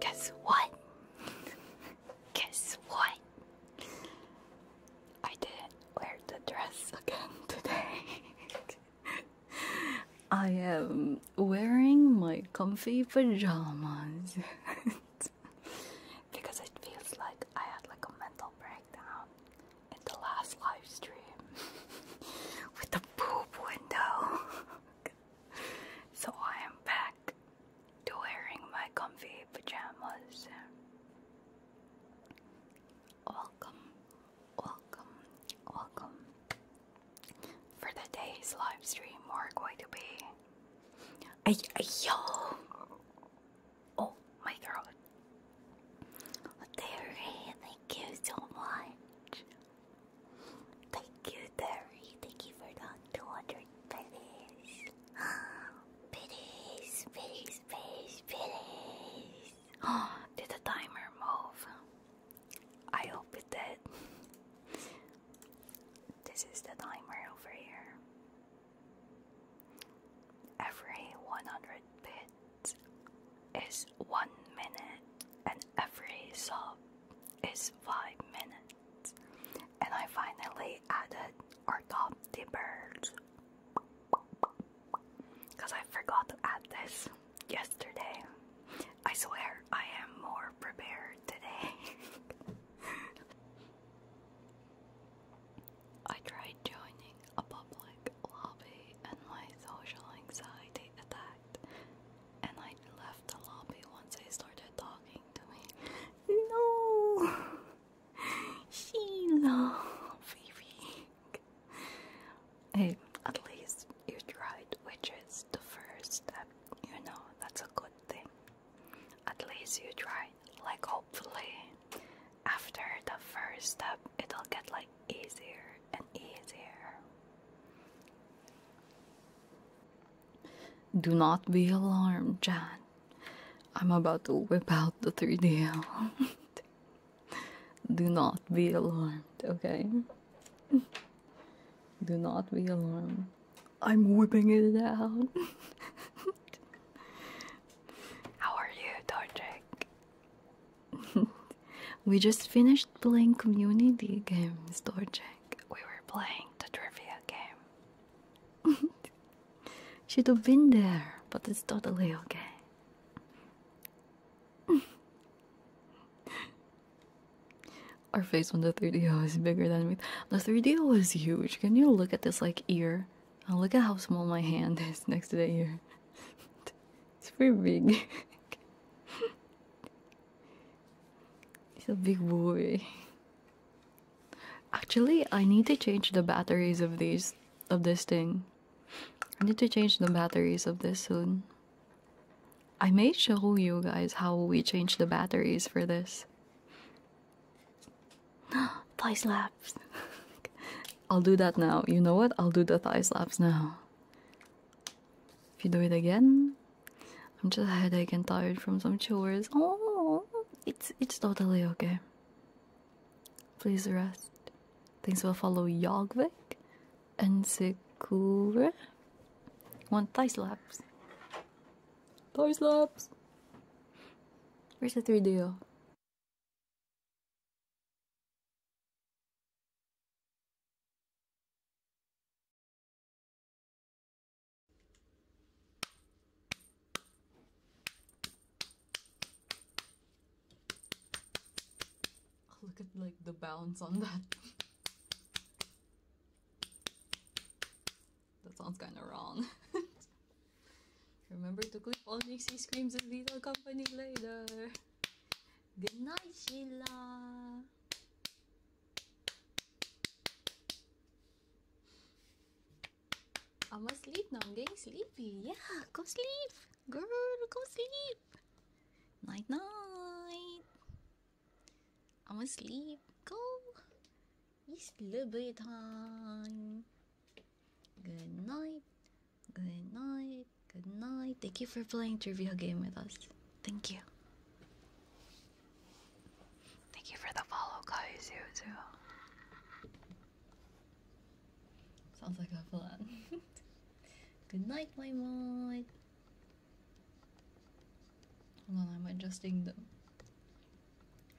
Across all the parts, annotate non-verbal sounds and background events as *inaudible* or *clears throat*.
Guess what? Guess what? I didn't wear the dress again today. I am wearing my comfy pajamas because it feels like I had like a mental breakdown in the last live stream *laughs* with the boob window. So I am back to wearing my comfy pajamas. Welcome, welcome, welcome. For the live stream, we're going to be. I, Oh my throat. thank you so much. Thank you, Terry. Thank you for the 200 *gasps* pennies. Pennies, pennies, pennies, pennies. *gasps* did the timer move? I hope it did. *laughs* this is the timer over here. Every 100 bits is 1 minute, and every sub is 5 minutes. And I finally added our top dippers. Because I forgot to add this yesterday. I swear I am more prepared today. *laughs* I tried joining a public lobby and my social anxiety attacked and I left the lobby once they started talking to me. No, *laughs* she loved baby. Hey, at least you tried, which is the first step. You know, that's a good thing. At least you tried. Like, hopefully, after the first step, it'll get like easier and easier. Do not be alarmed, Jan. I'm about to whip out the 3D *laughs* Do not be alarmed, okay? Do not be alarmed. I'm whipping it out. *laughs* How are you, Dorje? *laughs* we just finished playing community games, Dorje we were playing the trivia game. *laughs* Should have been there, but it's totally okay. *laughs* Our face on the 3 d is bigger than me. The 3DO is huge. Can you look at this like ear? Oh, look at how small my hand *laughs* is next to the ear. it's pretty big. He's a big boy. Actually, I need to change the batteries of this of this thing. I need to change the batteries of this soon. I may show you guys how we change the batteries for this. *gasps* thigh slaps. *laughs* I'll do that now. You know what? I'll do the thigh slaps now. If you do it again, I'm just headache and tired from some chores. Oh, it's it's totally okay. Please rest. Things will follow Yogvik, and Sekure. One thigh slaps. Thigh slaps. Where's the 3 deal. *laughs* look at like the bounce on that. *laughs* that sounds kind of wrong. *laughs* Remember to click on Nixie Screams and Lethal Company later. Good night, Sheila. I'm asleep now. I'm getting sleepy. Yeah, go sleep, girl. Go sleep. Night, night. I'm asleep. Go. It's sleepy time. Good night. Good night. Good night. Thank you for playing trivia game with us. Thank you. Thank you for the follow, Kaizuzu. Sounds like a plan. *laughs* Good night, my mod. Hold on, I'm adjusting them.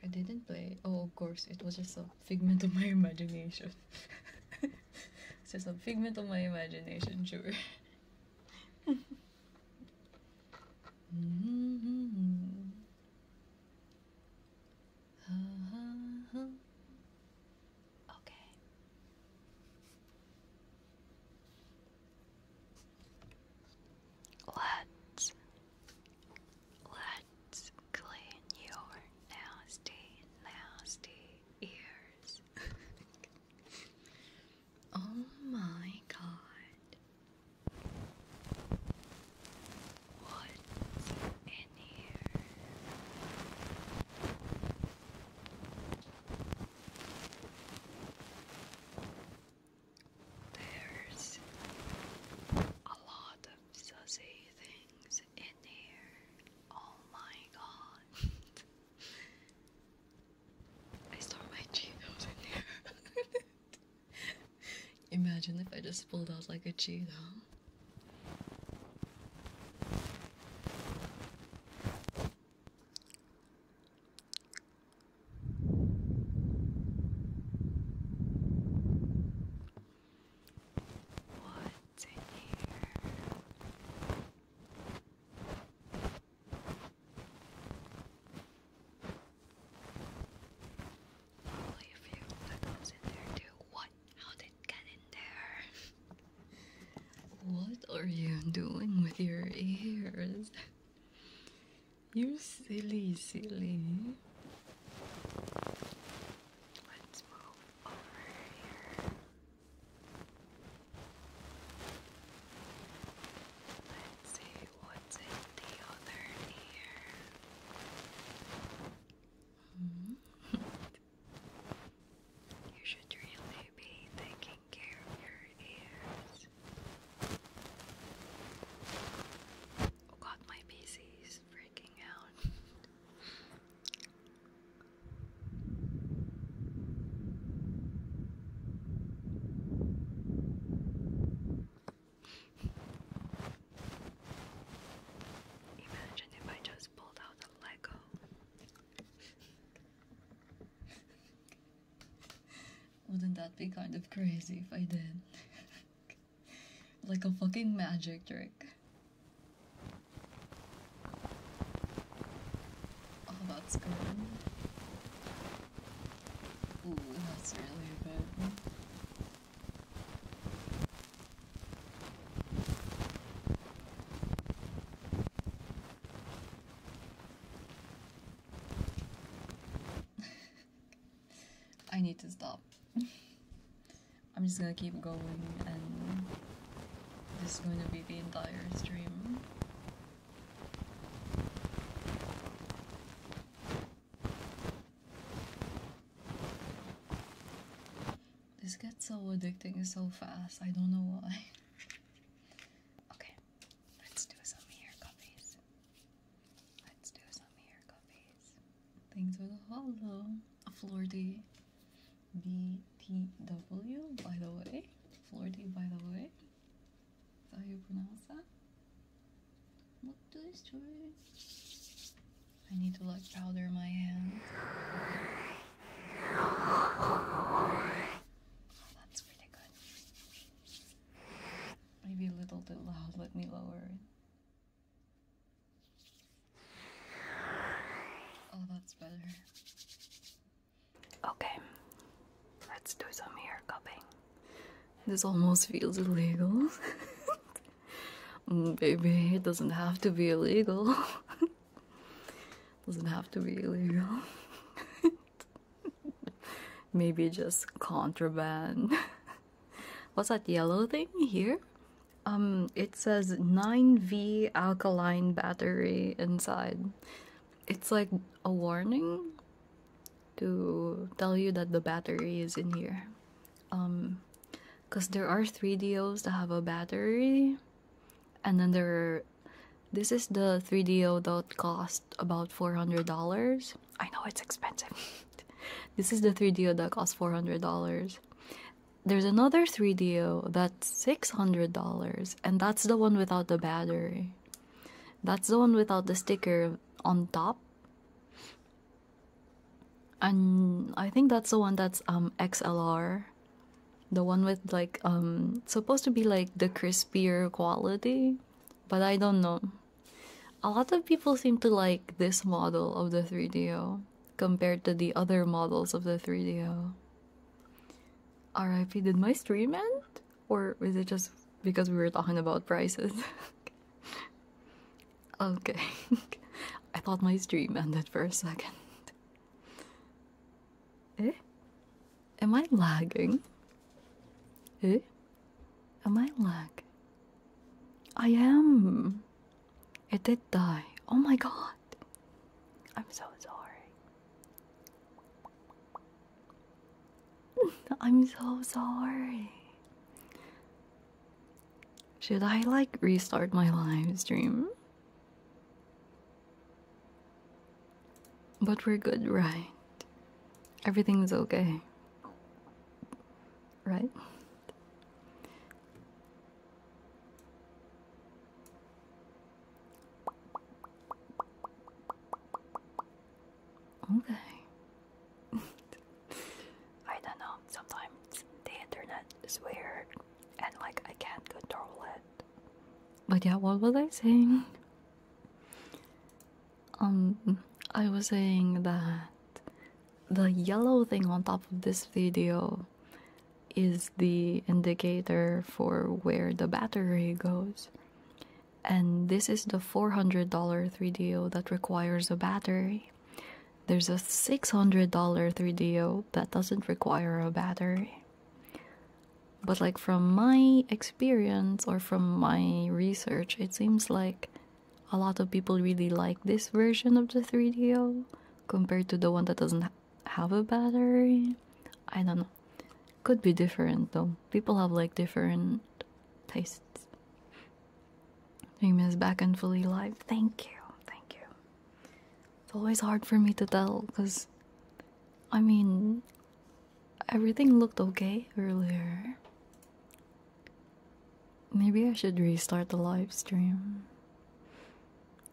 I didn't play. Oh, of course, it was just a figment of my imagination. *laughs* it's just a figment of my imagination, sure. Mm-hmm. okay. Let's let's clean your nasty, nasty ears. *laughs* Oh my god. What's in here? There's a lot of sussy things in here. Oh my god. *laughs* I saw my Cheetos in there. *laughs* Imagine if I just pulled out like a Cheeto. What's in here? Probably a few weapons in there too. What? How did it get in there? what are you doing with your ears? you silly, silly. Let's move over here. Let's see what's in the other ear. -hmm. *laughs* you should really be taking care of your ears. Oh god, my PC is freaking out. *laughs* Imagine if I just pulled out the Lego. Wouldn't that be kind of crazy if I did? *laughs* like a fucking magic trick. Oh, that's good. Ooh, that's really bad. I need to stop. *laughs* I'm just gonna keep going and this is going to be the entire stream. This gets so addicting so fast. I don't know why. *laughs* okay, let's do some ear copies. Let's do some ear copies. Thanks for the Flordy BTW, by the way. Flordy, by the way how you pronounce that? What do I do? I need to like powder my hand. Oh, that's really good. Maybe a little too loud, let me lower it. Oh, that's better. Okay, let's do some ear cupping. This almost feels illegal. *laughs* Baby, it doesn't have to be illegal. *laughs* doesn't have to be illegal. *laughs* Maybe just contraband. What's that yellow thing here? Um, it says 9V alkaline battery inside. It's like a warning to tell you that the battery is in here um because there are three dos that have a battery and then there this is the 3do that cost about $400 i know it's expensive *laughs* this is the 3do that costs $400 there's another 3do that's $600 and that's the one without the battery that's the one without the sticker on top. And I think that's the one that's um, XLR. The one with like um, supposed to be like the crispier quality, but I don't know. A lot of people seem to like this model of the 3DO compared to the other models of the 3DO. RIP, did my stream end? Or is it just because we were talking about prices? *laughs* okay. *laughs* I thought my stream ended for a second. *laughs* Eh? Am I lagging? Eh? Am I lag? I am. It did die. Oh my god. I'm so sorry. *laughs* I'm so sorry. Should I like restart my live stream? But we're good, right? Everything's okay. Right? Okay. *laughs* I don't know. Sometimes the internet is weird and like I can't control it. But yeah, what was I saying? Um, I was saying that the yellow thing on top of this video is the indicator for where the battery goes and this is the $400 3DO that requires a battery. There's a $600 3DO that doesn't require a battery. But, like, from my experience or from my research, it seems like a lot of people really like this version of the 3DO compared to the one that doesn't have a battery. I don't know. Could be different though. People have like different tastes. Dream is back and fully live. Thank you, thank you. It's always hard for me to tell because I mean everything looked okay earlier. Maybe I should restart the live stream.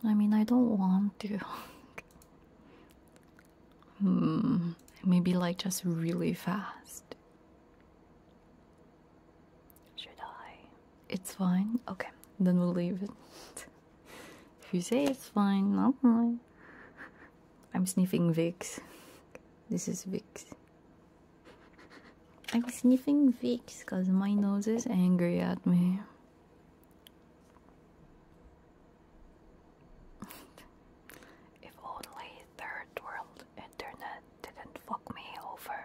I mean, I don't want to. *laughs* Hmm, maybe like just really fast. Should I? It's fine? Okay, then we'll leave it. *laughs* if you say it's fine, not mine. I'm sniffing Vicks. This is Vicks. I'm sniffing Vicks because my nose is angry at me if only third world internet didn't fuck me over.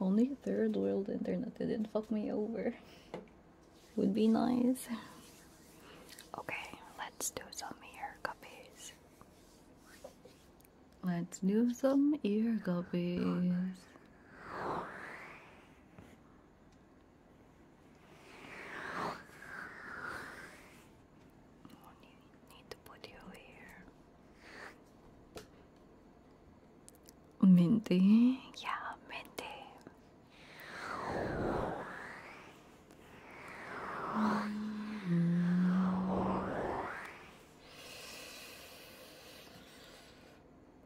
Only third world internet didn't fuck me over. Would be nice. Okay, let's do some ear guppies. Let's do some ear guppies. *laughs* Oh, need to put you here. Mindy? Yeah, Mindy.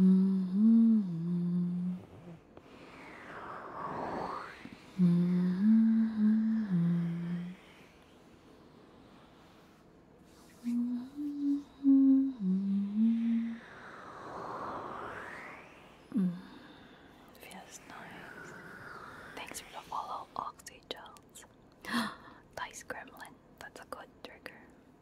Mm-hmm. Mm-hmm. Mm-hmm. Mm. Feels nice. Thanks for the follow, Oxygels. nice *gasps* gremlin. That's a good trigger.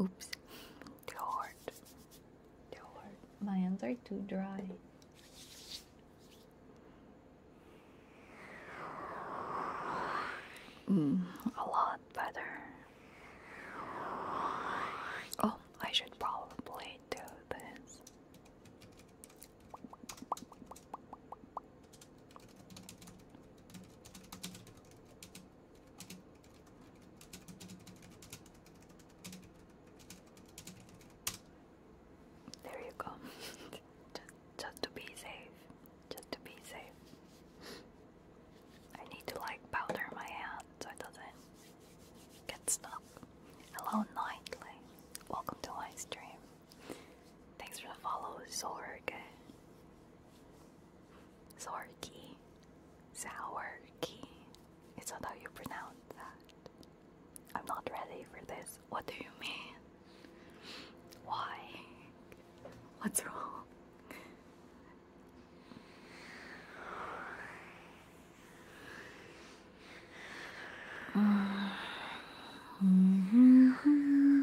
oops, too hard, too hard. My hands are too dry. Mm, a lot better. Oh, I should probably do this. There you go. *laughs* just, just to be safe. Just to be safe. I need to like powder my hand so it doesn't get stuck. Hello, Nightly. Welcome to my stream. Thanks for the follow, Zorg. Zorki. Zawerki. It's not how you pronounce that? I'm not ready for this. What do you mean? Why? What's wrong? *sighs* *laughs*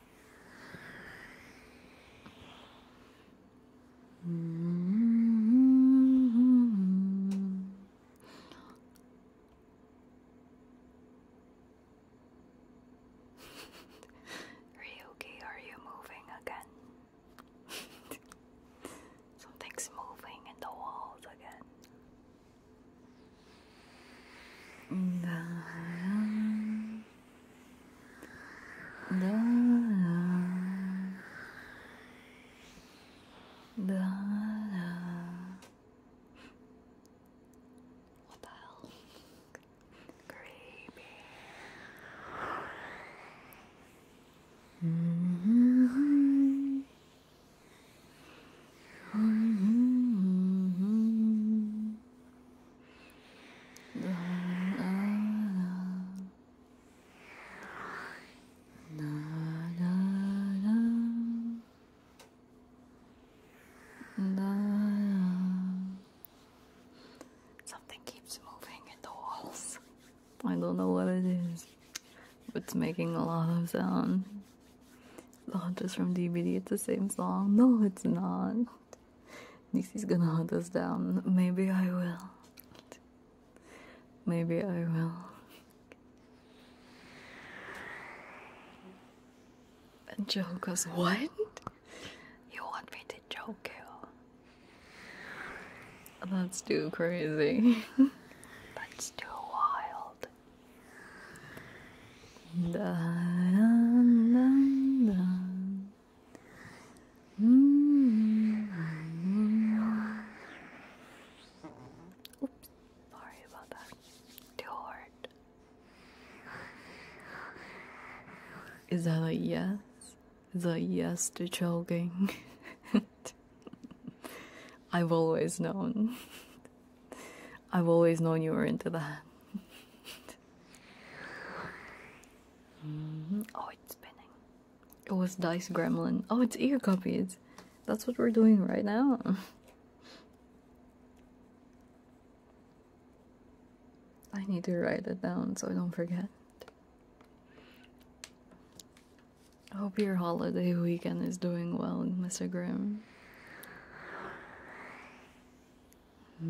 *laughs* Ryuki, are you moving again? *laughs* Something's moving in the walls again. La, la, la, la, What the Creepy. -hmm. Something keeps moving in the walls. I don't know what it is, but it's making a lot of sound. Launches from DVD, it's the same song. No, it's not. Nixie's gonna hunt us down. Maybe I will. Maybe I will. And Joe goes, What? You want me to choke you? That's too crazy. *laughs* That's too wild. Oops, sorry about that. Too hard. Is that a yes? Is a yes to jogging? *laughs* I've always known. I've always known you were into that. Mm-hmm. Oh, it's spinning. It was Dice Gremlin. Oh, it's ear copies. That's what we're doing right now. I need to write it down so I don't forget. I hope your holiday weekend is doing well, Mr. Grim. Okay,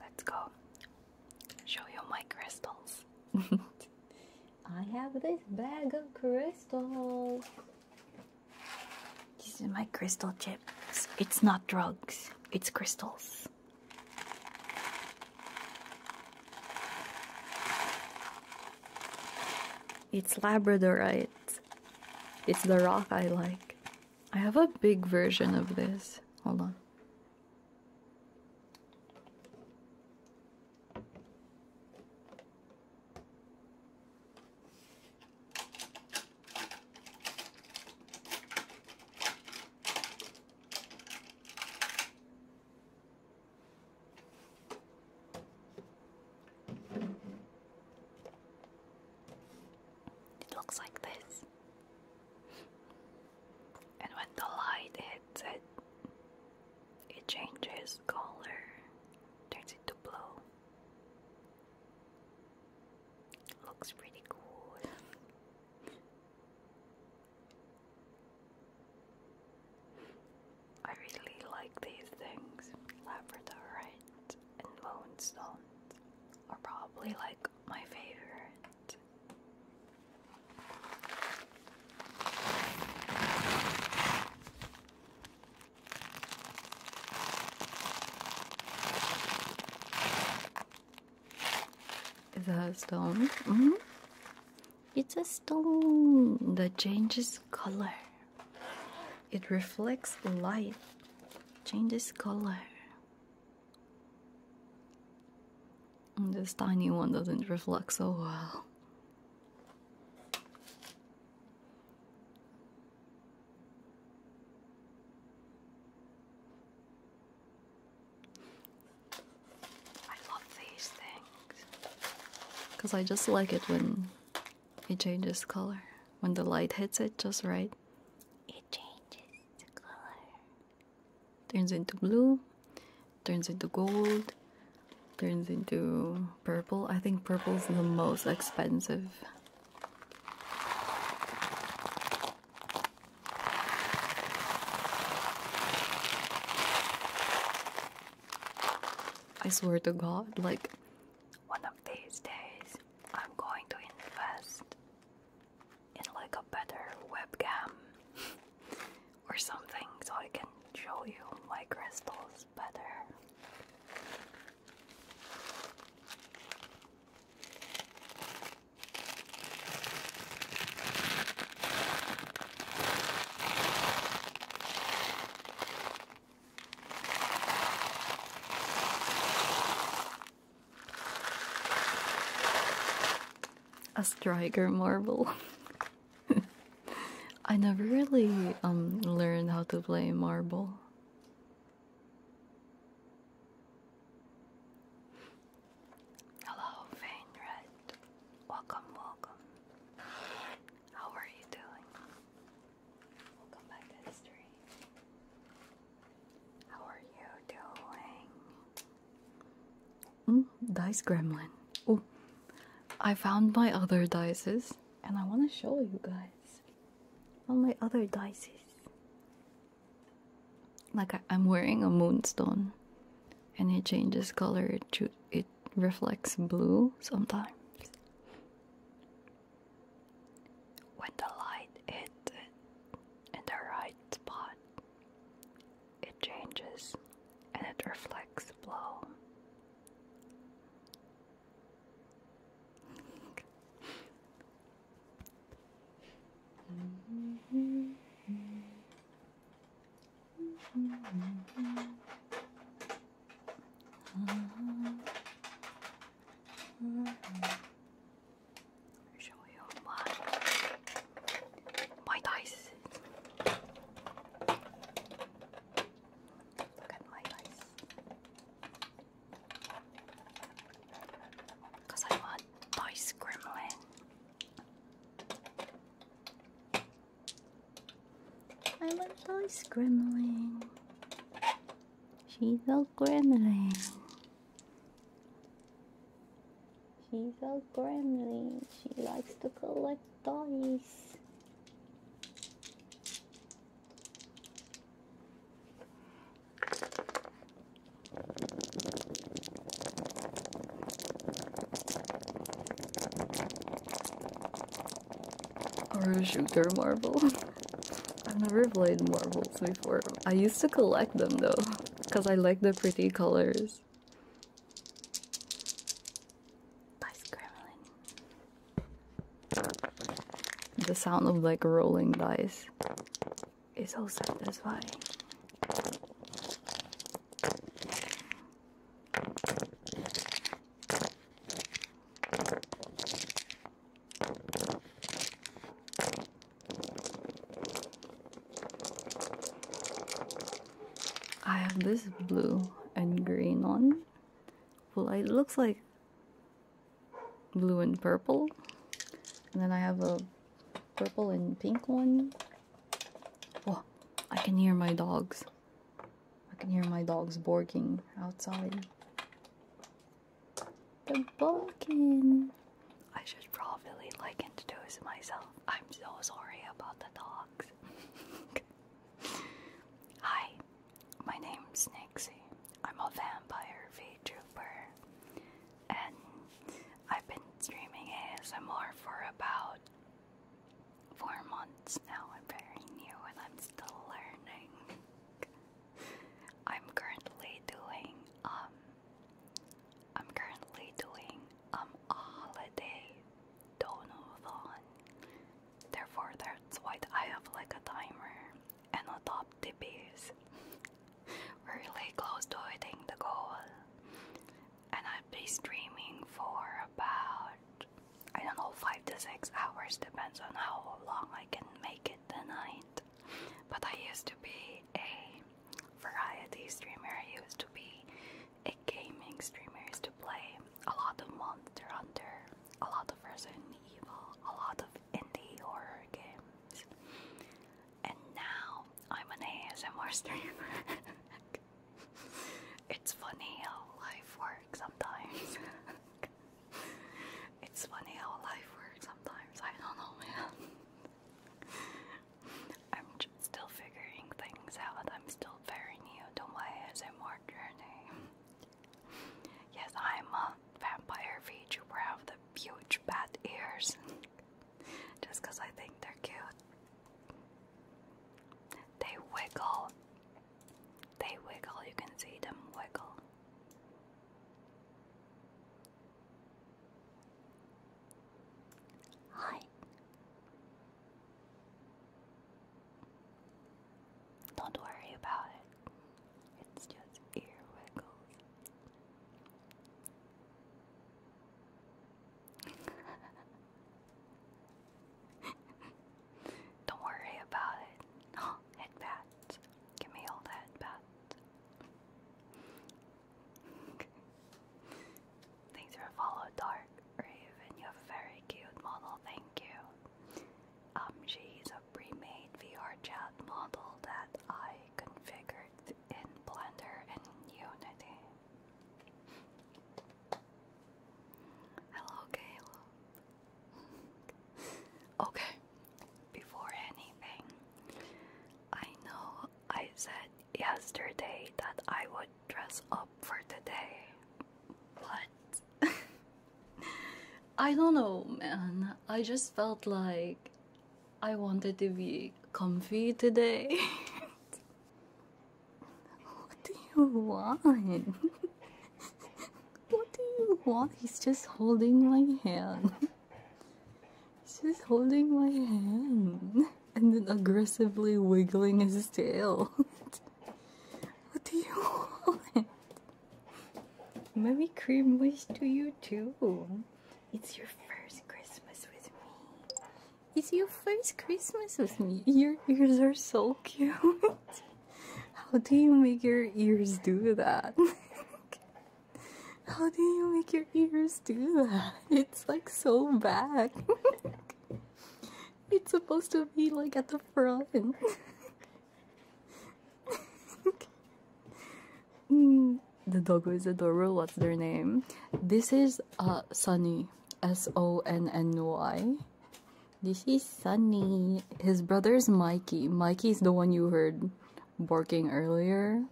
let's go show you my crystals. *laughs* I have this bag of crystals. These are my crystal chips. It's not drugs, it's crystals. It's labradorite. It's the rock I like. I have a big version of this. Hold on. It looks like this, and when the light hits it, it changes color, turns it to blue. Looks pretty good. I really like these things. Labradorite and bone are probably like my favorite. Is that a stone? Mm-hmm. It's a stone that changes color. It reflects light, changes color. And this tiny one doesn't reflect so well. I love these things. Because I just like it when it changes color. When the light hits it just right, it changes color. Turns into blue, turns into gold, turns into purple. I think purple's the most expensive I swear to God, like, one of these days, I'm going to invest in like a better webcam *laughs* or something so I can show you my crystals better. A striker marble. *laughs* I never really um learned how to play marble. Hello, Vainred. Welcome, welcome. How are you doing? Welcome back to history. How are you doing? Mm, dice gremlin. Oh, I found my other dices and I want to show you guys. All my other dices. Like I, I'm wearing a moonstone and it changes color, it, it reflects blue sometimes. When the light hits it in the right spot, it changes and it reflects blue show you my my dice. Look at my dice. Cause I want voice gremlin. I want voice gremlin. She's a gremlin. She's a gremlin. She likes to collect toys. Or a shooter marble. *laughs* I've never played marbles before. I used to collect them though, because I like the pretty colors. By scribbling. The sound of like rolling dice is so satisfying. I have this blue and green one. Well, it looks like blue and purple. And then I have a purple and pink one. Oh, I can hear my dogs. I can hear my dogs barking outside. They're barking. I should probably like introduce myself. I'm so sorry about the dogs. *laughs* Hi, my name's Nixie. I'm a vampire v VTuber, and I've been streaming ASMR for about four months now. I'm very new and I'm still learning. I'm currently doing um I'm currently doing um a holiday donathon. Therefore that's why I have like a timer and atop the base. We're really close to hitting the goal. And I'll be streaming for about, I don't know, 5 to 6 hours, depends on how long I can make it tonight. But I used to be a variety streamer, I used to be a gaming streamer, used to play a lot of Monster Hunter, a lot of Resident Evil, a lot of indie horror games. And now I'm an ASMR streamer. *laughs* it's funny how life works sometimes. *laughs* it's funny how life works sometimes. I don't know, man. *laughs* I'm just still figuring things out. I'm still very new to my ASMR journey. Yes, I'm a vampire VTuber. I have the huge bat ears *laughs* just because I think they're cute. They wiggle. They wiggle. You can see them wiggle. Hi. Don't worry about it. It's just ear wiggles. *laughs* Don't worry about it. Oh, head Give me all the headbats. *laughs* Things are a follow, Dark Raven. You have a very cute model. Thank you. Um, she's a Remade made VRChat model that I configured in Blender and Unity. Hello, Caleb. *laughs* okay, before anything, I know I said yesterday that I would dress up for today, but *laughs* I don't know, man. I just felt like I wanted to be comfy today. *laughs* what do you want? *laughs* what do you want? He's just holding my hand. He's just holding my hand and then aggressively wiggling his tail. what do you want? Merry Christmas to you too. It's your first Christmas with me. It's your first Christmas with me. Your ears are so cute. How do you make your ears do that? *laughs* How do you make your ears do that? It's like so bad. *laughs* it's supposed to be like at the front. *laughs* the dog is adorable. What's their name? This is uh, Sunny. S O N N Y. This is Sunny. His brother's Mikey. Mikey's the one you heard barking earlier.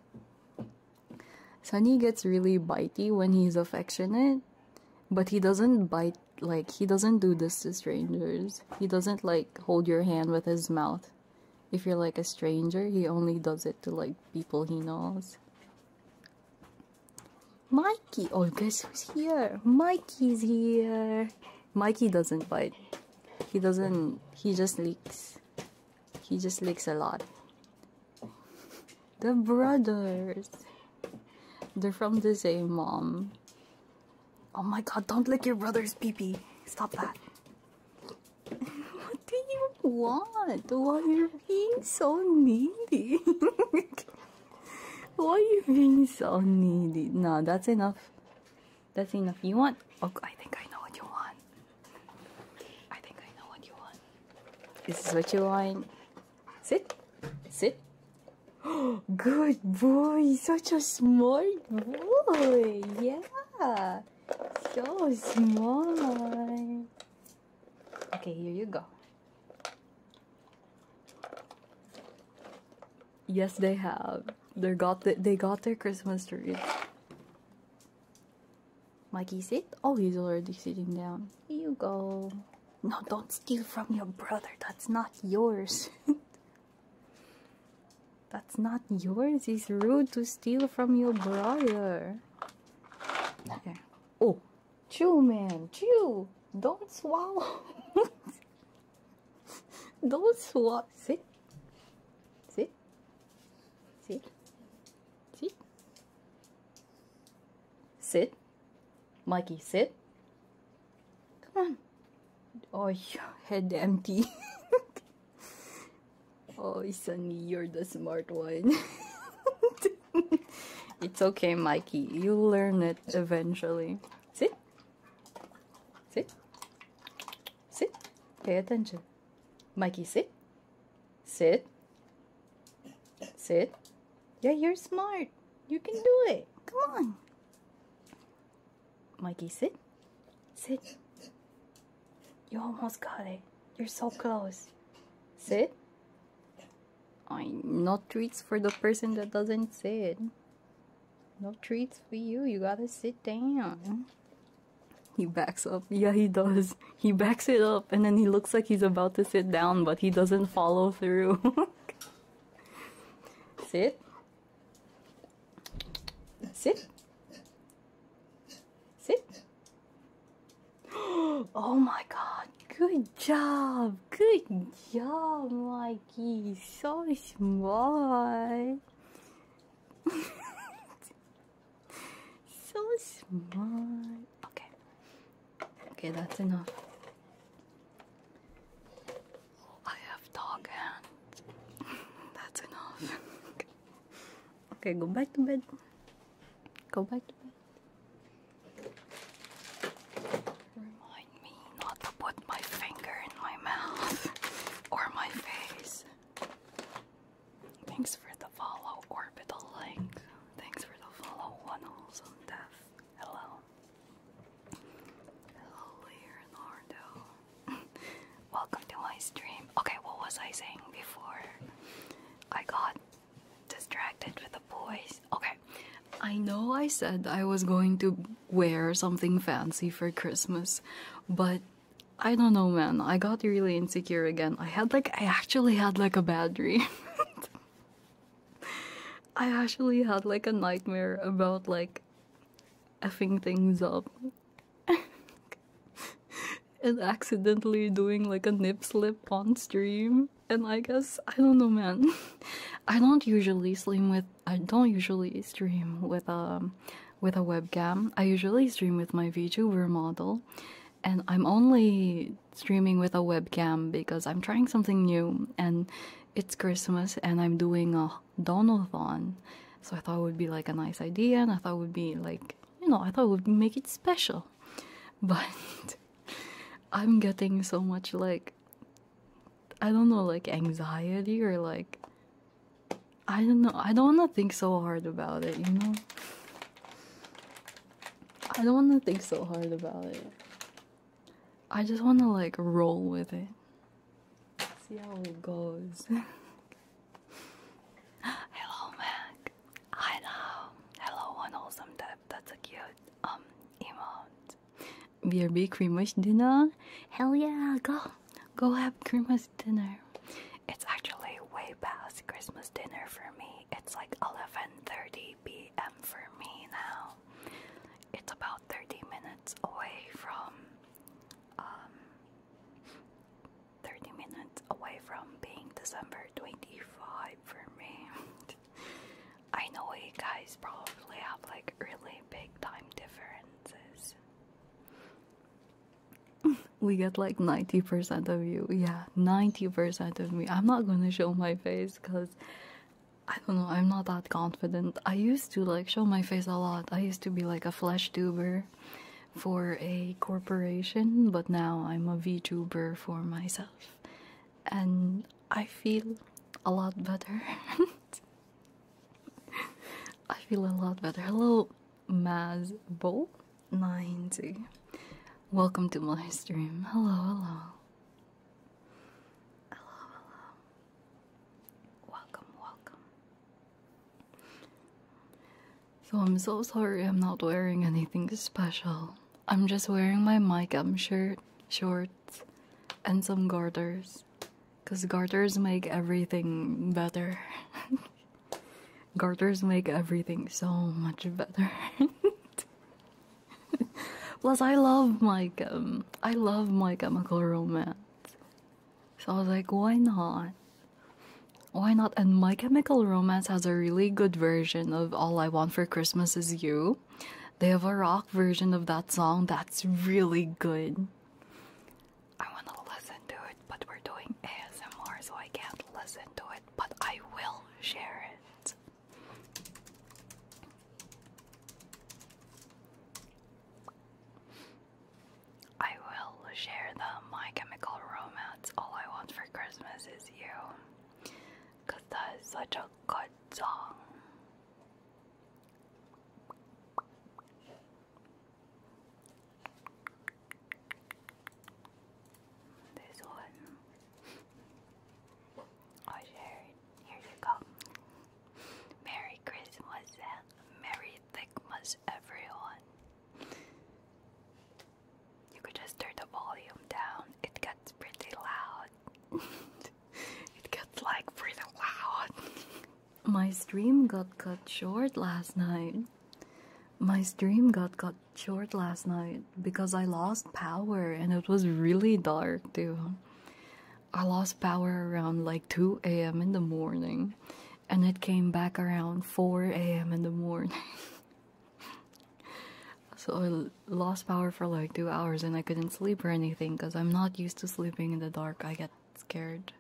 Sunny gets really bitey when he's affectionate, but he doesn't bite, like, he doesn't do this to strangers. He doesn't like hold your hand with his mouth. If you're like a stranger, he only does it to like people he knows. Mikey! Oh, guess who's here? Mikey's here! Mikey doesn't bite. He doesn't, he just licks. He just licks a lot. The brothers! They're from the same mom. Oh my god, don't lick your brother's pee pee. Stop that. *laughs* what do you want? Why are you being so needy? *laughs* Why are you being so needy? No, that's enough. That's enough. You want? Oh, I think I know what you want. I think I know what you want. This is what you want. Sit. Sit. *gasps* Good boy, such a smart boy. Yeah, so smart. Okay, here you go. Yes, they have. They got the, they got their Christmas tree. Mikey, sit. Oh, he's already sitting down. Here you go. No, don't steal from your brother. That's not yours. *laughs* That's not yours. It's rude to steal from your brother. Oh, chew, man. Chew. Don't swallow. *laughs* Don't swallow. Sit. Sit. Sit. Sit. Sit. Mikey, sit. Come on. Oh, *laughs* head empty. oh, Sunny, you're the smart one. *laughs* it's okay, Mikey. You'll learn it eventually. Sit. Sit. Sit. Pay attention. Mikey, sit. Sit. Sit. Yeah, you're smart. You can do it. Come on. Mikey, sit. Sit. You almost got it. You're so close. Sit. I no treats for the person that doesn't sit. No treats for you. You gotta sit down. He backs up. Yeah, he does. He backs it up and then he looks like he's about to sit down, but he doesn't follow through. *laughs* sit. Sit. Sit. *gasps* Oh my god. Good job. Good job, Mikey. So smart. *laughs* so smart. Okay. Okay, that's enough. I have dog hands. *laughs* That's enough. *laughs* okay, go back to bed. Go back to bed. Remind me not to put my finger in my mouth *laughs* or my face. Thanks for the follow, orbital link. Thanks for the follow, one death. Hello. Hello, Leonardo. *laughs* Welcome to my stream. Okay, what was I saying before? I got distracted with the boys. Okay, I know I said I was going to wear something fancy for Christmas, but I don't know, man. I got really insecure again. I had like, I actually had like a bad dream. *laughs* I actually had like a nightmare about like effing things up *laughs* and accidentally doing like a nip slip on stream. And I guess I don't know, man. *laughs* I don't usually stream with I don't usually stream with um with a webcam. I usually stream with my VTuber model, and I'm only streaming with a webcam because I'm trying something new and it's Christmas and I'm doing a Donovan. So I thought it would be like a nice idea, and I thought it would be like, you know, I thought it would make it special. *laughs* But I'm getting so much like, I don't know, like anxiety or like, I don't know, I don't want to think so hard about it, you know? I don't want to think so hard about it. I just want to like roll with it. See how it goes. *laughs* Hello, Mac. Hi now. Hello, one awesome tap. That's a cute um emote. BRB Creamish dinner? Hell yeah, go. Go have Creamish dinner. It's actually way past Christmas dinner for me. It's like 11:30 p.m. for me now. It's about 30 minutes away from um, 30 minutes away from being December 25 for me. *laughs* I know you guys probably have like really big time differences. *laughs* We get like 90% of you. Yeah, 90% of me. I'm not gonna show my face because I don't know, I'm not that confident. I used to like show my face a lot. I used to be like a flash tuber for a corporation, but now I'm a VTuber for myself. And I feel a lot better. *laughs* I feel a lot better. Hello, Mazbo90. Welcome to my stream. Hello, hello. Hello, hello. Welcome, welcome. So, I'm so sorry I'm not wearing anything special. I'm just wearing my MyGum shirt, shorts, and some garters. Because garters make everything better. *laughs* garters make everything so much better. *laughs* Plus, I love my um, I love my chemical romance. So I was like, why not? Why not? And My Chemical Romance has a really good version of All I Want for Christmas Is You. They have a rock version of that song that's really good. I want to listen to it, but we're doing ASMR, so I can't listen to it, but I will share it. I will share the My Chemical Romance All I Want for Christmas Is You. Because that is such a good song. This one. I oh, shared. Here you go. Merry Christmas and Merry Thickmas, everyone. You could just turn the volume down, it gets pretty loud. *laughs* it gets like pretty loud. *laughs* My stream got cut short last night. My stream got cut short last night because I lost power and it was really dark too. I lost power around like 2 a.m. in the morning and it came back around 4 a.m. in the morning. *laughs* so I lost power for like 2 hours and I couldn't sleep or anything because I'm not used to sleeping in the dark. I get scared.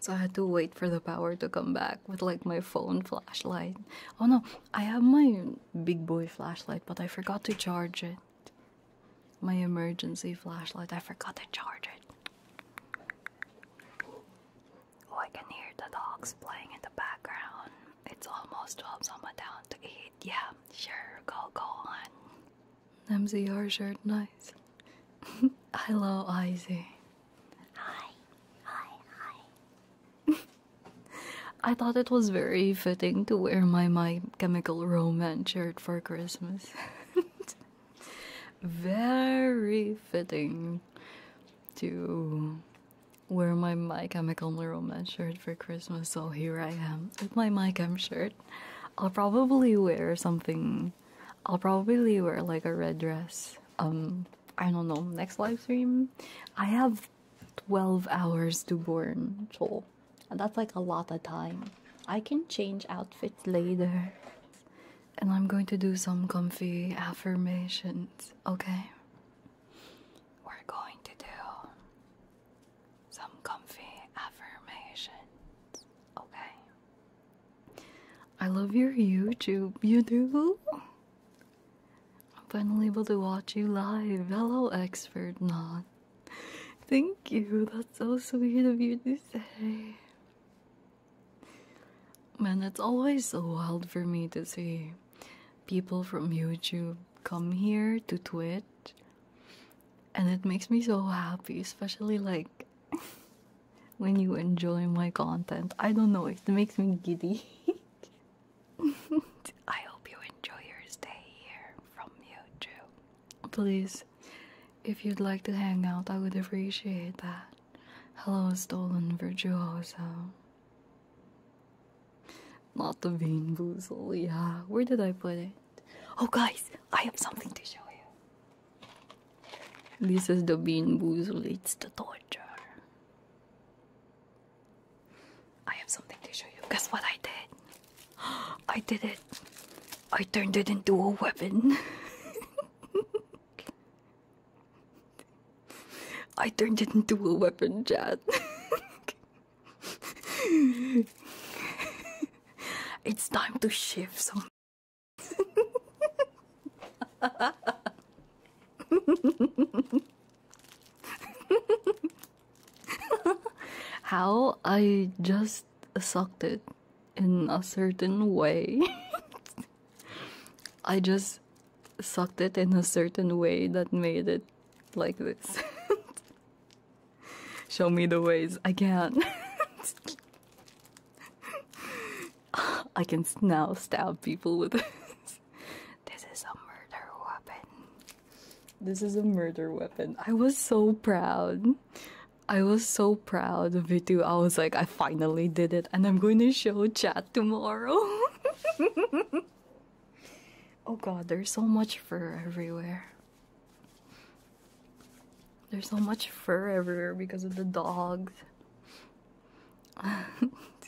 So I had to wait for the power to come back with like my phone flashlight. Oh no, I have my big boy flashlight, but I forgot to charge it. My emergency flashlight, I forgot to charge it. Oh, I can hear the dogs playing in the background. It's almost 12, so I'm down to eat. Yeah, sure, go, go on. MCR shirt, nice. *laughs* Hello, Izzy. Hi, hi, hi. *laughs* I thought it was very fitting to wear my My Chemical Romance shirt for Christmas. *laughs* Very fitting to wear my My Chemical Romance shirt for Christmas, so here I am with my My Chem shirt. I'll probably wear something. I'll probably wear like a red dress. Um, I don't know. Next live stream, I have twelve hours to burn, Chill that's like a lot of time. I can change outfits later. And I'm going to do some comfy affirmations, okay? We're going to do some comfy affirmations, okay? I love your YouTube, you do? I'm finally able to watch you live. Hello, expert not. Thank you. That's so sweet of you to say. Man, it's always so wild for me to see people from YouTube come here to Twitch. And it makes me so happy, especially like *laughs* when you enjoy my content. I don't know, it makes me giddy. *laughs* I hope you enjoy your stay here from YouTube. Please if you'd like to hang out, I would appreciate that. Hello, stolen virtuoso. Not the bean yeah. Where did I put it? Oh, guys, I have something to show you. This is the bean boozle, it's the torture. I have something to show you. Guess what I did? *gasps* I did it. I turned it into a weapon. *laughs* I turned it into a weapon, Chad. *laughs* it's time to shift some. *laughs* *laughs* How I just sucked it in a certain way. *laughs* I just sucked it in a certain way that made it like this. *laughs* Show me the ways. I can I can now stab people with this. This is a murder weapon. This is a murder weapon. I was so proud. I was so proud of it too. I was like, I finally did it, and I'm going to show Chad tomorrow. *laughs* oh god, there's so much fur everywhere. There's so much fur everywhere because of the dogs.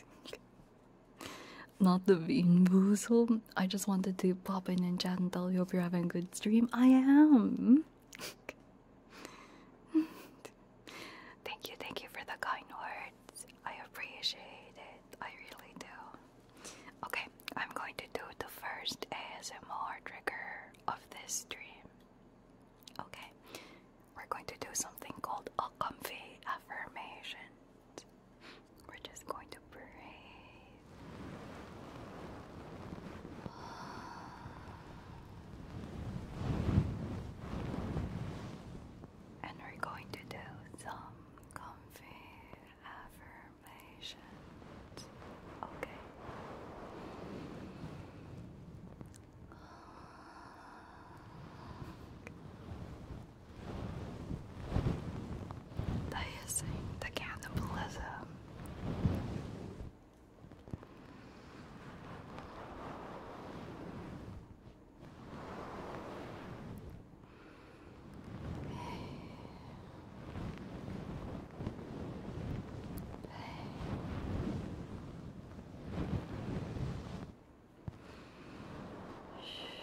*laughs* Not the bean boozled. I just wanted to pop in and chat and tell you hope you're having a good stream. I am. thank you, thank you for the kind words. I appreciate it. I really do. Okay, I'm going to do the first ASMR trigger of this stream. Okay, we're going to do something called a comfy affirmation. We're just going to to *sighs* breathe. And we're going to do some comfy affirmations. Okay. *sighs* the hissing, the cannibalism. Hey. Hey. Shh.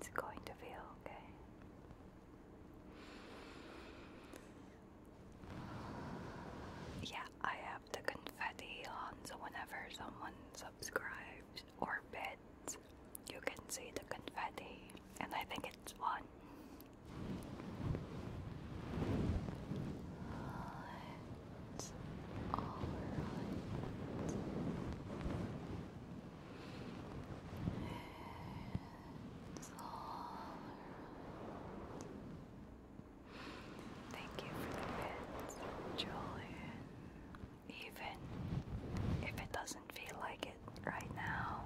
It's going to feel okay. Yeah, I have the confetti on, so whenever someone subscribes or bids, you can see the confetti, and I think it's won. It's all right. It's all right. Thank you for the bits, Julian. Even if it doesn't does feel like it right now.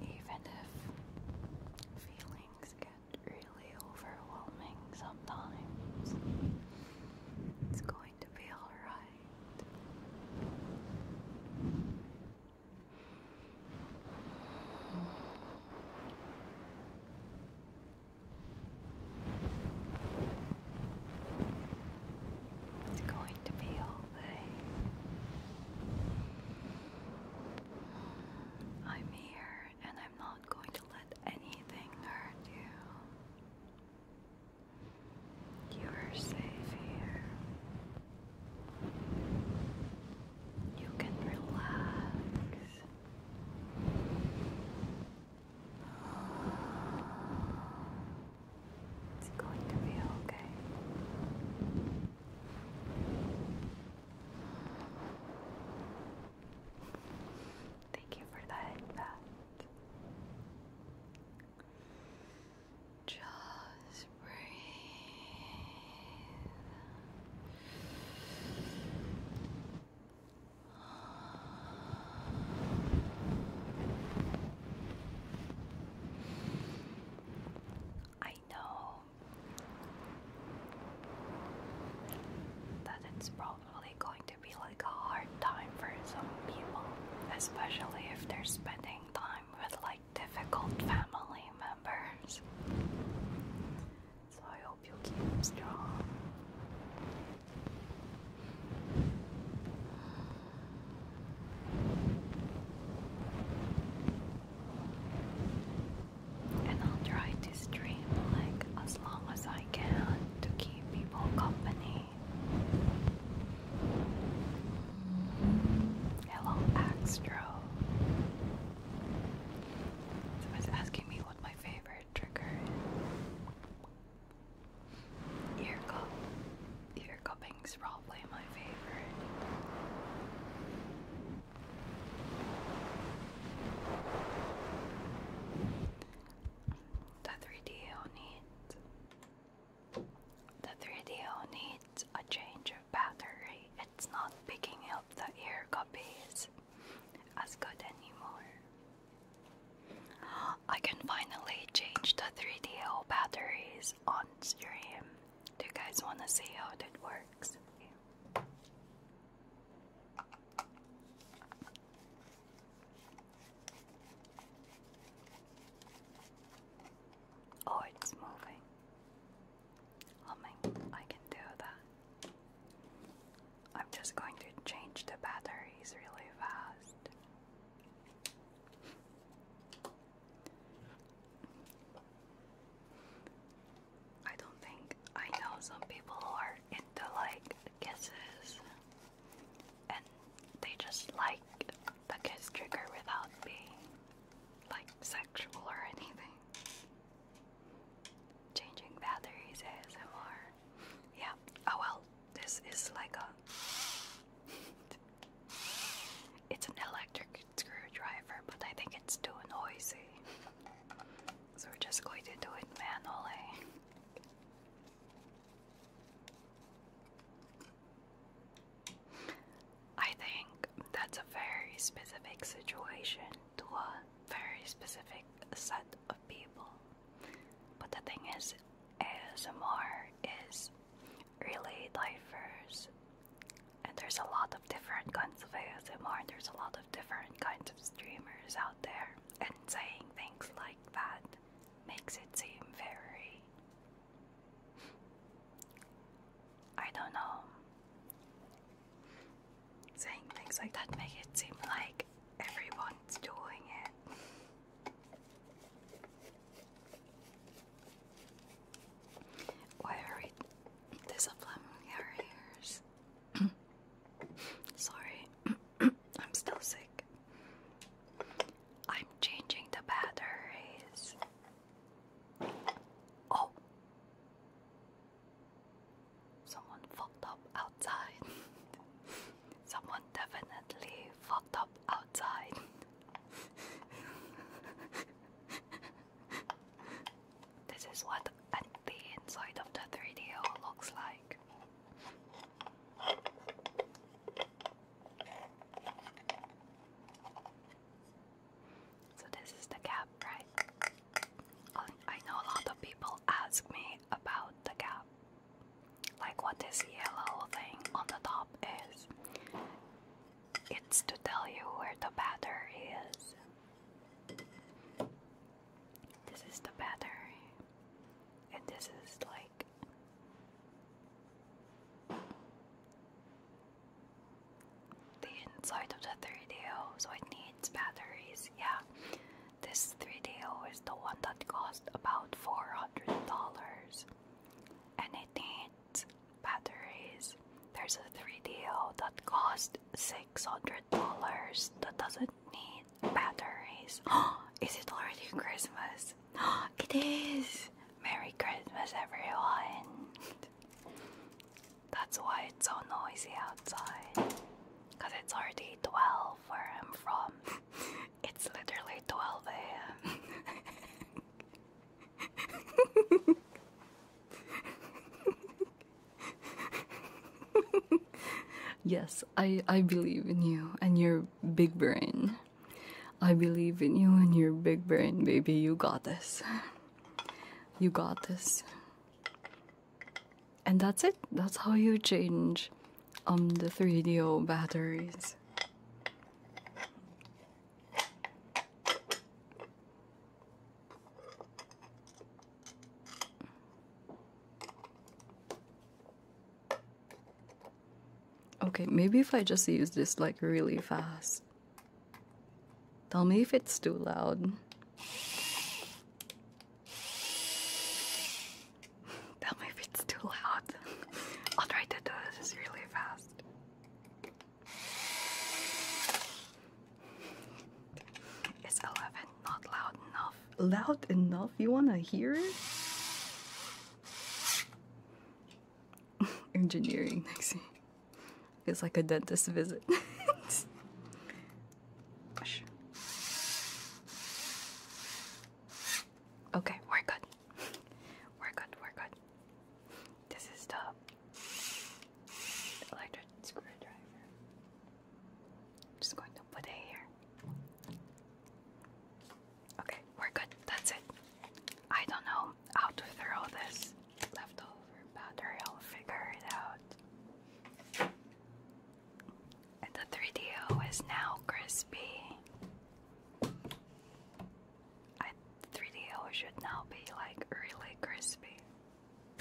Even if feelings get really overwhelming sometimes, it's going to be alright. It's going to be okay. I'm here and I'm not going to let anything hurt you. You're safe here. You can relax. It's going to be okay. Thank you for that, Just breathe. I know that it's probably going to be like a hard time for some people, especially if they're spending time with like difficult family members. So I hope you keep strong. And I'll try to stream like as long as I can to keep people company. Hello, Axtro. Someone's asking me what my favorite trigger is. Ear cup. Ear cupping's probably my favorite. The 3DO needs the 3DO needs a change of battery. It's not picking up the ear copies as good anymore. I can finally change the 3DO batteries on stream. Do you guys want to see how it works? Oh, it's moving. I oh mean, I can do that. I'm just going to change the batteries really fast. I don't think I know some people are into like kisses and they just like the kiss trigger without being like sexual or anything. Changing batteries more. Yeah, oh well, this is like a. it's an electric screwdriver, but I think it's too noisy. So we're just going to do it manually. I think that's a very specific situation to a very specific set of people. But the thing is, ASMR is really lifers, And there's a lot of different kinds of ASMR, and there's a lot of different kinds of streamers out there. And saying things like that makes it seem very. I don't know. Saying things like that make it seem like everyone's doing it. Why are we disapplying our ears? *coughs* Sorry, *coughs* I'm still sick. I'm changing the batteries. Oh! Someone fucked up outside. *laughs* Someone definitely fucked up outside. *laughs* this is what the inside of the 3DO looks like. So this is the gap, right? Oh, I know a lot of people ask me about the gap like what this yellow thing on the top is. It's to tell you where the battery is. This is the battery, and this is like the inside of the 3DO, so it needs batteries. Yeah, this 3DO is the one that cost about $400 and it needs batteries. There's a 3DO that costs $600 that doesn't need batteries. *gasps* is it already Christmas? *gasps* it is! Merry Christmas, everyone! That's why it's so noisy outside. Because it's already 12 where I'm from. *laughs* It's literally 12 a.m. yes, I I believe in you and your big brain. I believe in you and your big brain, baby. You got this. You got this. And that's it. That's how you change on um, the 3DO batteries. Okay, maybe if I just use this like really fast. Tell me if it's too loud. Tell me if it's too loud. *laughs* I'll try to do this really fast. It's 11, not loud enough. Loud enough? You wanna hear it? *laughs* Engineering, Nixie. Feels like a dentist visit. *laughs* okay, we're good we're good, we're good. This is tough. electric screwdriver. just going to put it here. Okay, we're good. That's it. I don't know how to throw this leftover battery. I'll figure it out. the 3DO is now crispy. 3DO should now be like really crispy.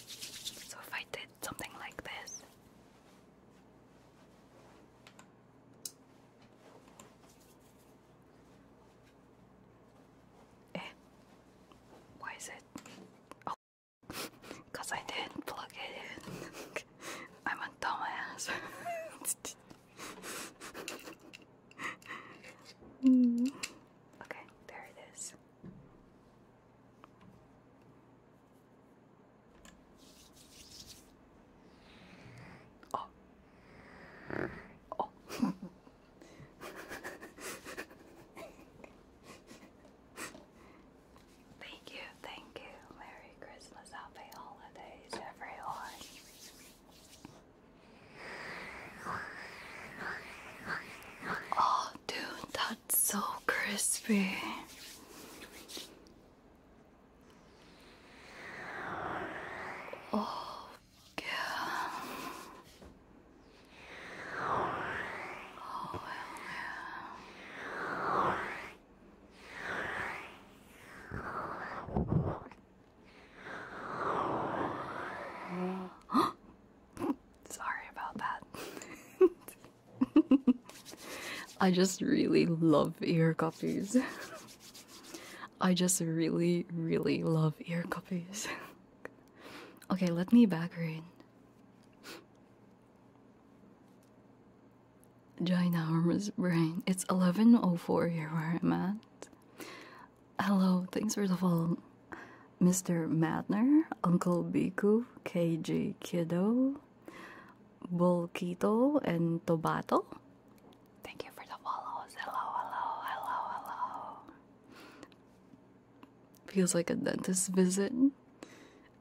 So if I did something like this, eh? Why is it? Oh, because *laughs* I didn't plug it in. *laughs* I'm a dumbass. *laughs* Mm-hmm. Okay, there it is. Oh. Oh. *laughs* Thank you, thank you, Mary. Merry Christmas, Happy Holidays, everyone. Oh, dude, that's so crispy. Oh, yeah. Oh, yeah. *gasps* Sorry about that. *laughs* I just really love ear copies. *laughs* I just really, really love ear copies. *laughs* okay, let me back her in arm is brain. It's 11.04 here where I'm at. Hello, thanks for the follow. Mr. Madner, Uncle Biku, KJ Kiddo, Bolquito, and Tobato. Thank you for the follows. Hello, hello, hello, hello. Feels like a dentist visit.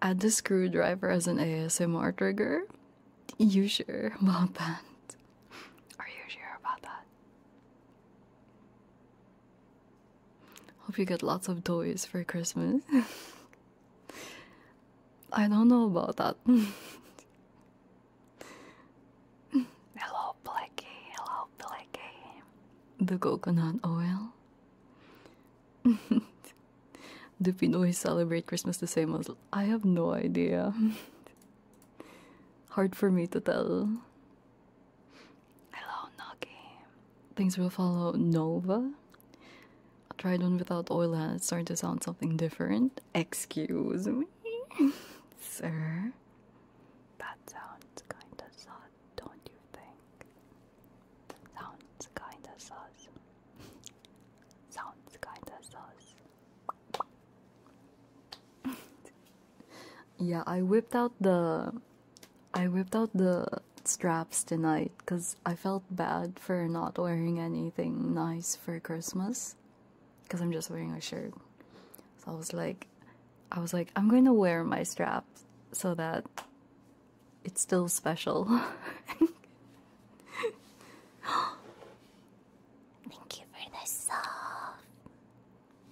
Add the screwdriver as an ASMR trigger. You sure about that? Are you sure about that? Hope you get lots of toys for Christmas. *laughs* I don't know about that. *laughs* hello, Blicky. Hello, Blicky. The coconut oil. Do know we celebrate Christmas the same as I have no idea. *laughs* Hard for me to tell. Hello, Nagi. Things will follow Nova. I tried one without oil and it's starting to sound something different. Excuse me, *laughs* sir. That sounds kinda sad, don't you think? That Sounds kinda sad. Sounds kinda sus. *laughs* yeah, I whipped out the I whipped out the straps tonight because I felt bad for not wearing anything nice for Christmas. Cause I'm just wearing a shirt. So I was like I was like, I'm going to wear my straps so that it's still special. *laughs* *laughs* Thank you for the soft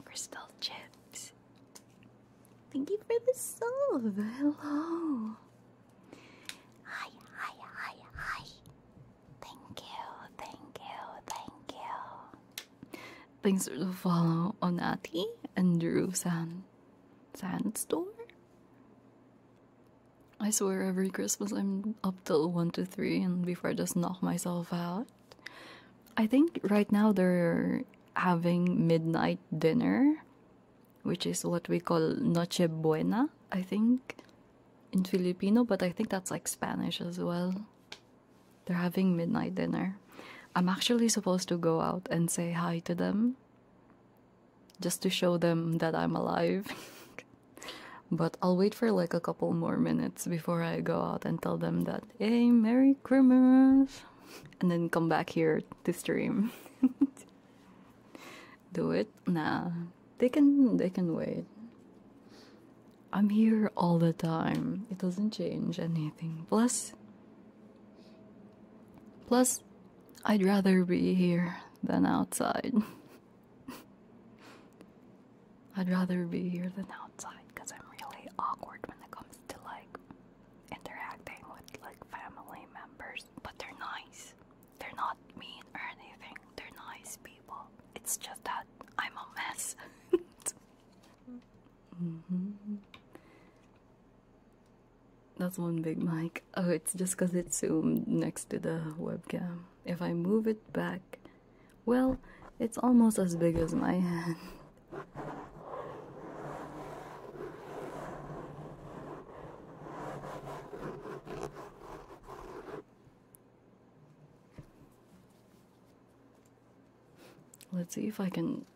crystal chips. Thank you for the soft. Hello. Hi, hi, hi, hi. Thank you, thank you, thank you. Thanks for the follow, Onati and Drew San Sandstorm. I swear every Christmas I'm up till 1 to 3 and before I just knock myself out. I think right now they're having midnight dinner, which is what we call Noche Buena, I think, in Filipino, but I think that's like Spanish as well. They're having midnight dinner. I'm actually supposed to go out and say hi to them just to show them that I'm alive. *laughs* But I'll wait for like a couple more minutes before I go out and tell them that, hey, Merry Christmas! And then come back here to stream. *laughs* Do it? Nah. They can, they can wait. I'm here all the time. It doesn't change anything. Plus, plus, I'd rather be here than outside. *laughs* *laughs* I'd rather be here than outside because I'm really awkward when it comes to like interacting with like family members. But they're nice. They're not mean or anything. They're nice people. It's just that I'm a mess. *laughs* Mm-hmm. That's one big mic oh it's just because it's zoomed next to the webcam if i move it back well it's almost as big as my hand Let's see if I can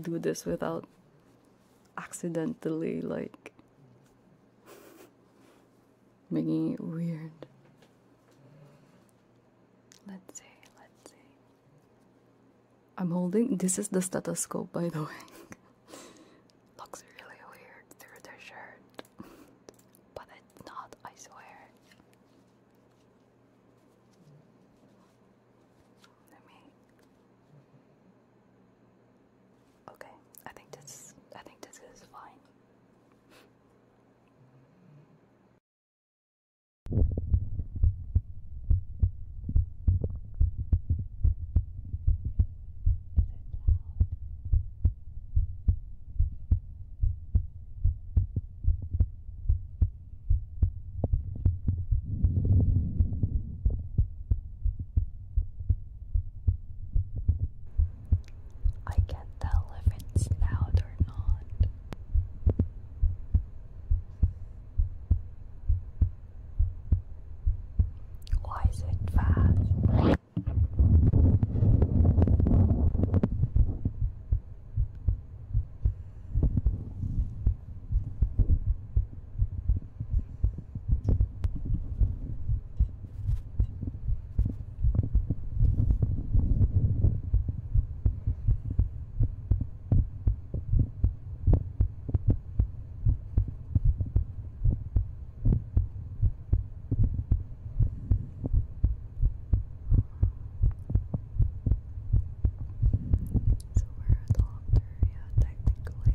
do this without accidentally, like, making it weird. Let's see, let's see. I'm holding this is the stethoscope by the way. *laughs* Looks really weird through the shirt. but it's not, I swear. Let me Okay, I think this I think this is fine. I can't tell if loud or not. Why is it fast? So we're at yeah, technically.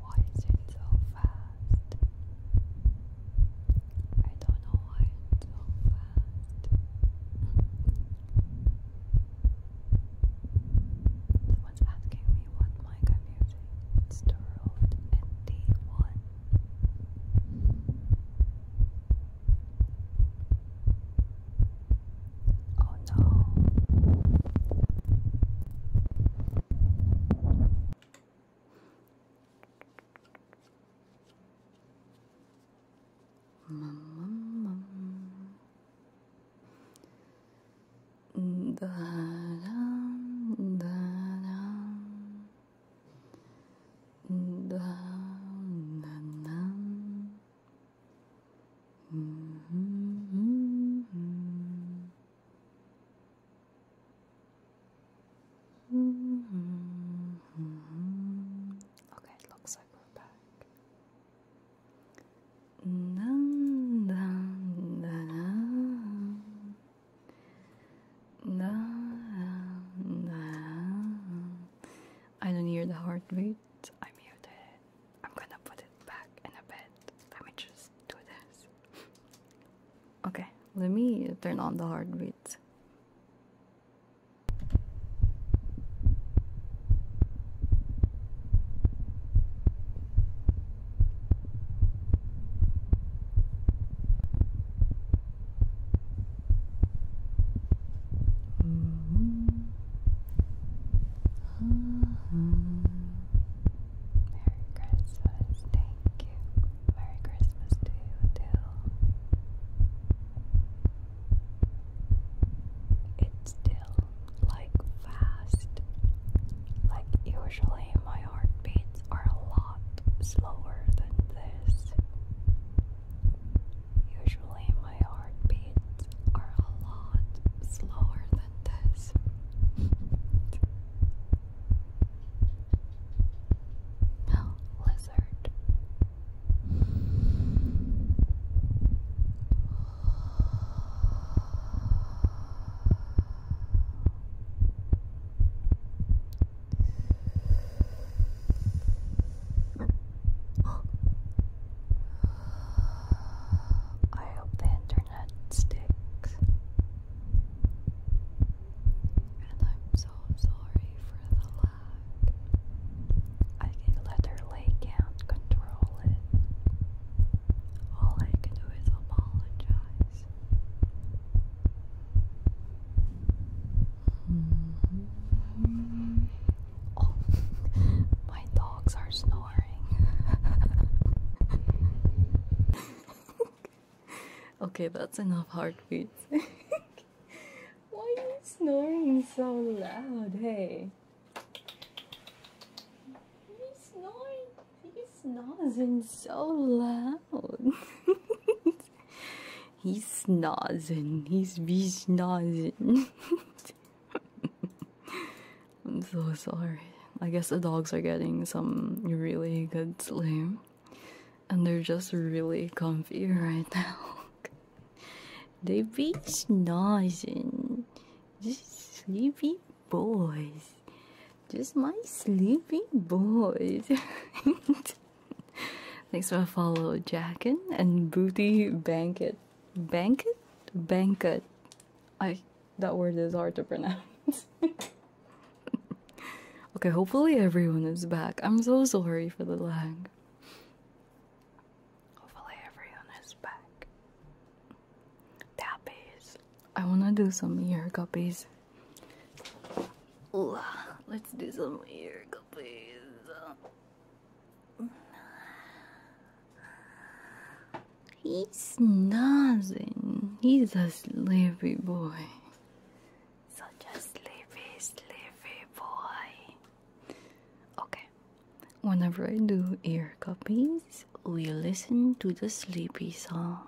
why is it so fast? I don't know why it's so fast. Someone's asking me what mic I'm using. It's the ND1. Oh no. Da -dum, da -dum, da -dum, mm -hmm. Mm -hmm. Okay, it looks like we're back. Dun, dun, dun, dun. Dun, I don't hear the heartbeat. I muted it. I'm gonna put it back in a bit. Let me just do this. Okay, let me turn on the heartbeat. Merry Christmas, thank you. Merry Christmas to you too. It's still like fast. Like, usually, my heartbeats are a lot slower than this. Usually, my heartbeats are a lot slower than this. *laughs* no, lizard. I hope the internet sticks. And I'm so sorry for the loud I can let her lay down, control it. All I can do is apologize. Mm-hmm. Oh, my dogs are snoring. *laughs* okay, that's enough heartbeats. *laughs* Why are you snoring so loud? Hey. He's snoring. He's snoring so loud. *laughs* he's snoring. He's be snozzing. *laughs* I'm so sorry. I guess the dogs are getting some really good sleep. And they're just really comfy *laughs* right now. They nice and just sleepy boys. Just my sleepy boys. Thanks for a follow, Jackin and Booty Banket. Banket? Banket. I that word is hard to pronounce. *laughs* okay, hopefully everyone is back. I'm so sorry for the lag. Hopefully, everyone is back. Tappies. I wanna do some ear guppies. Let's do some ear guppies. He's nothing. He's a sleepy boy. Such a sleepy, sleepy boy. Okay. Whenever I do ear copies, we listen to the sleepy song.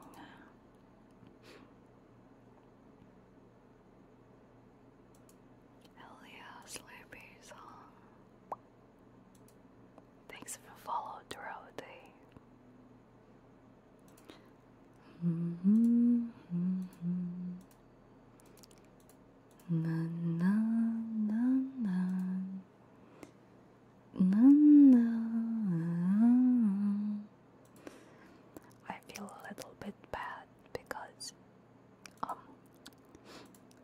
yeah, sleepy song. Thanks for follow throughout the day. Mm-hmm, mm-hmm na na na na na na I feel a little bit bad because um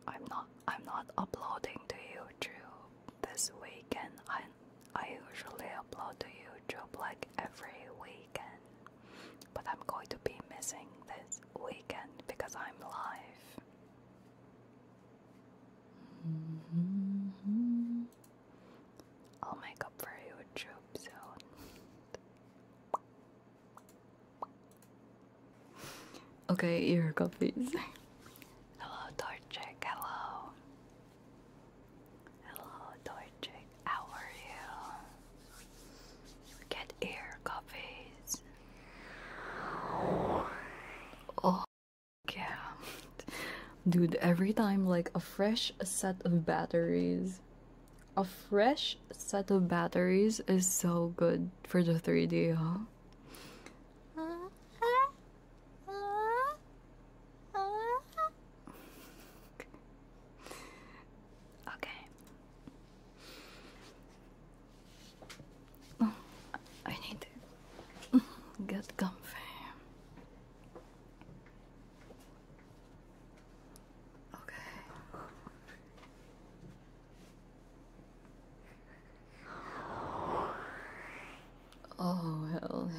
I'm not I'm not uploading to YouTube this weekend I I usually upload to YouTube like every weekend but I'm going to be missing this weekend because I'm alive. Mm I'll make up for you with Troop Zone. okay, your coffees. Hello, Torchic. Hello. Hello, Torchic. How are you? Cat ear coffees. Oh yeah. Dude, every time like a fresh set of batteries. A fresh set of batteries is so good for the 3D, huh? Okay. Oh, I need to get comfy. Okay. Oh, hell yeah.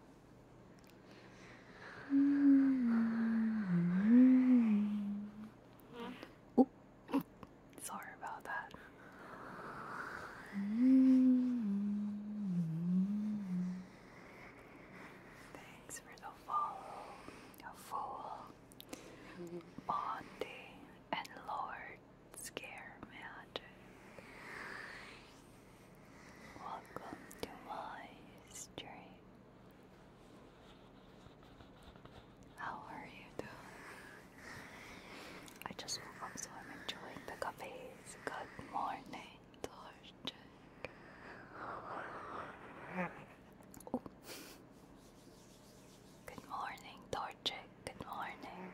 Oh, sorry about that. Thanks for the follow, fool, Bondi, and Lord scare magic. Welcome to my stream. How are you doing? I just woke up so I'm enjoying the cafes. Good morning, Torchic. Oh. Good morning, Torchic. Good morning.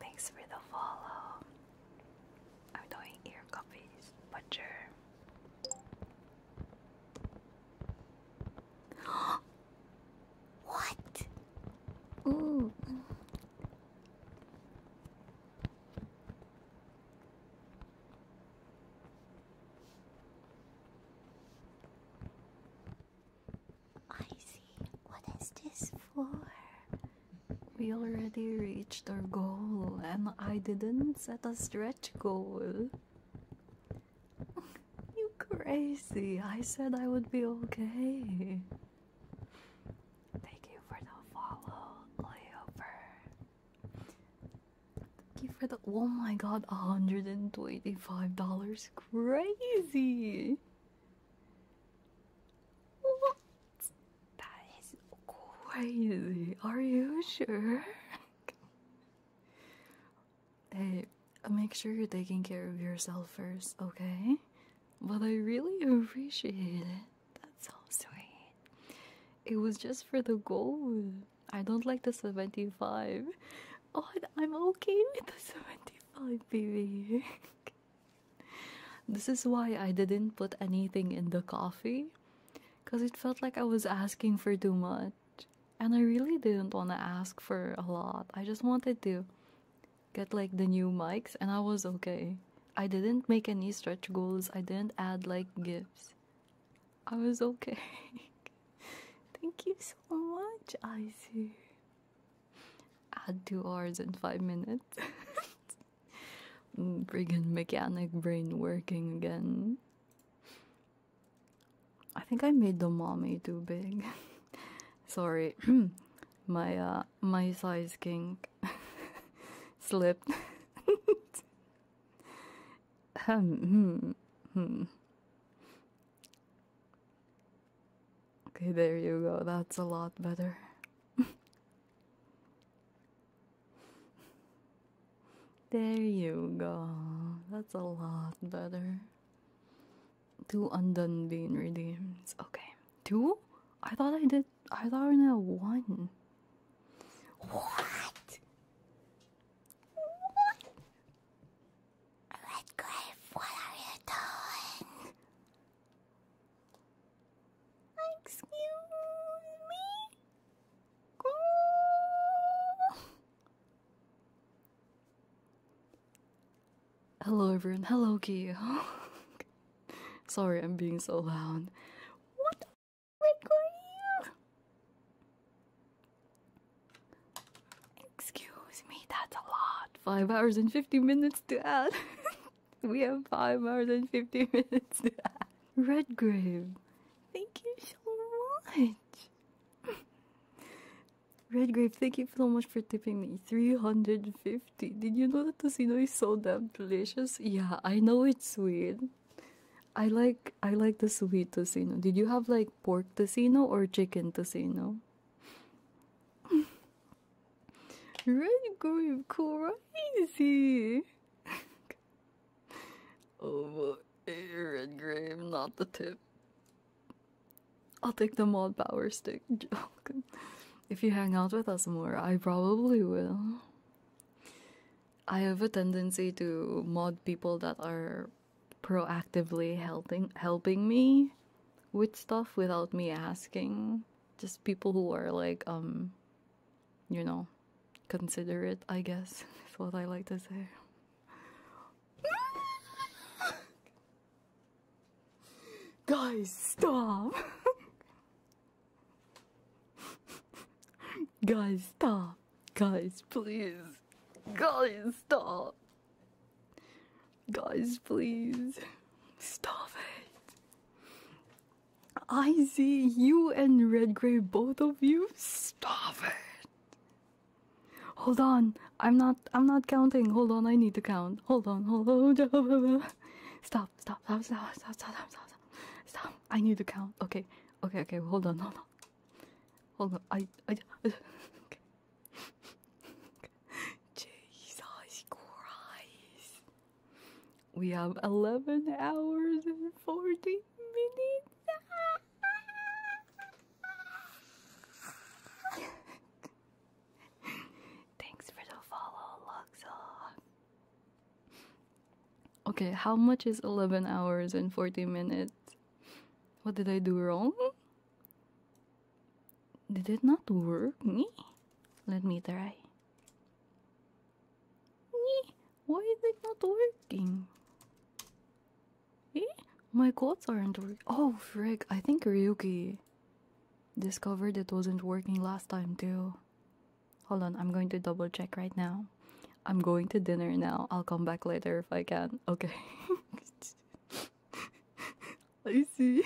Thanks for the follow. I'm doing ear copies, butcher. *gasps* what? Ooh. I see. What is this for? We already reached our goal, and I didn't set a stretch goal. *laughs* you crazy. I said I would be okay. Thank you for the follow, layover. Thank you for the. Oh my god, $125. Crazy! What? That is crazy. Are you sure? *laughs* hey, make sure you're taking care of yourself first, okay? But I really appreciate it. That's so sweet. It was just for the goal. I don't like the 75. Oh, I'm okay with the 75, baby. *laughs* This is why I didn't put anything in the coffee because it felt like I was asking for too much. And I really didn't want to ask for a lot. I just wanted to get like the new mics and I was okay. I didn't make any stretch goals, I didn't add like gifts. I was okay. *laughs* Thank you so much, Icy. Add two hours and five minutes. *laughs* Friggin' mechanic brain working again. I think I made the mommy too big. *laughs* Sorry, *clears throat* my uh, my size kink *laughs* slipped. Hmm. hmm, hmm. Okay, there you go. That's a lot better. *laughs* there you go. That's a lot better. Two undone being redeemed. Okay. Two? I thought I did. I thought I had one. What? What? Red what are you doing? Excuse me? Go. Hello everyone, hello Gio. *laughs* Sorry, I'm being so loud. What Excuse me, that's a lot five hours and 50 minutes to add. *laughs* we have five hours and 50 *laughs* minutes to add. Redgrave, thank you so much. *laughs* Redgrave, thank you so much for tipping me. 350. Did you know that casino is so damn delicious? Yeah, I know it's sweet. I like I like the sweet casino. Did you have like pork casino or chicken tocino? Red going crazy. *laughs* oh, red grave, not the tip. I'll take the mod power stick. *laughs* joke. if you hang out with us more, I probably will. I have a tendency to mod people that are proactively helping helping me with stuff without me asking. Just people who are like, um, you know, considerate, I guess, *laughs* is what I like to say. *laughs* Guys, stop! *laughs* Guys, stop! Guys, please! Guys, stop! Guys, please stop it. I see you and Red Grey, both of you. Stop it. Hold on, I'm not. I'm not counting. Hold on, I need to count. Hold on, hold on. Stop, stop, stop, stop, stop, stop, stop, stop. Stop. I need to count. Okay, okay, okay. Hold on, hold on. Hold on. I. I. I okay. Jesus Christ. We have 11 hours and 40 minutes. Thanks for the follow, Luxor. Okay, how much is 11 hours and 40 minutes? What did I do wrong? Did it not work? Me? Let me try. Me? Why is it not working? Eh? My codes aren't working. Oh, frick. I think Ryuki discovered it wasn't working last time, too. Hold on, I'm going to double check right now. I'm going to dinner now. I'll come back later if I can. Okay. *laughs* I see.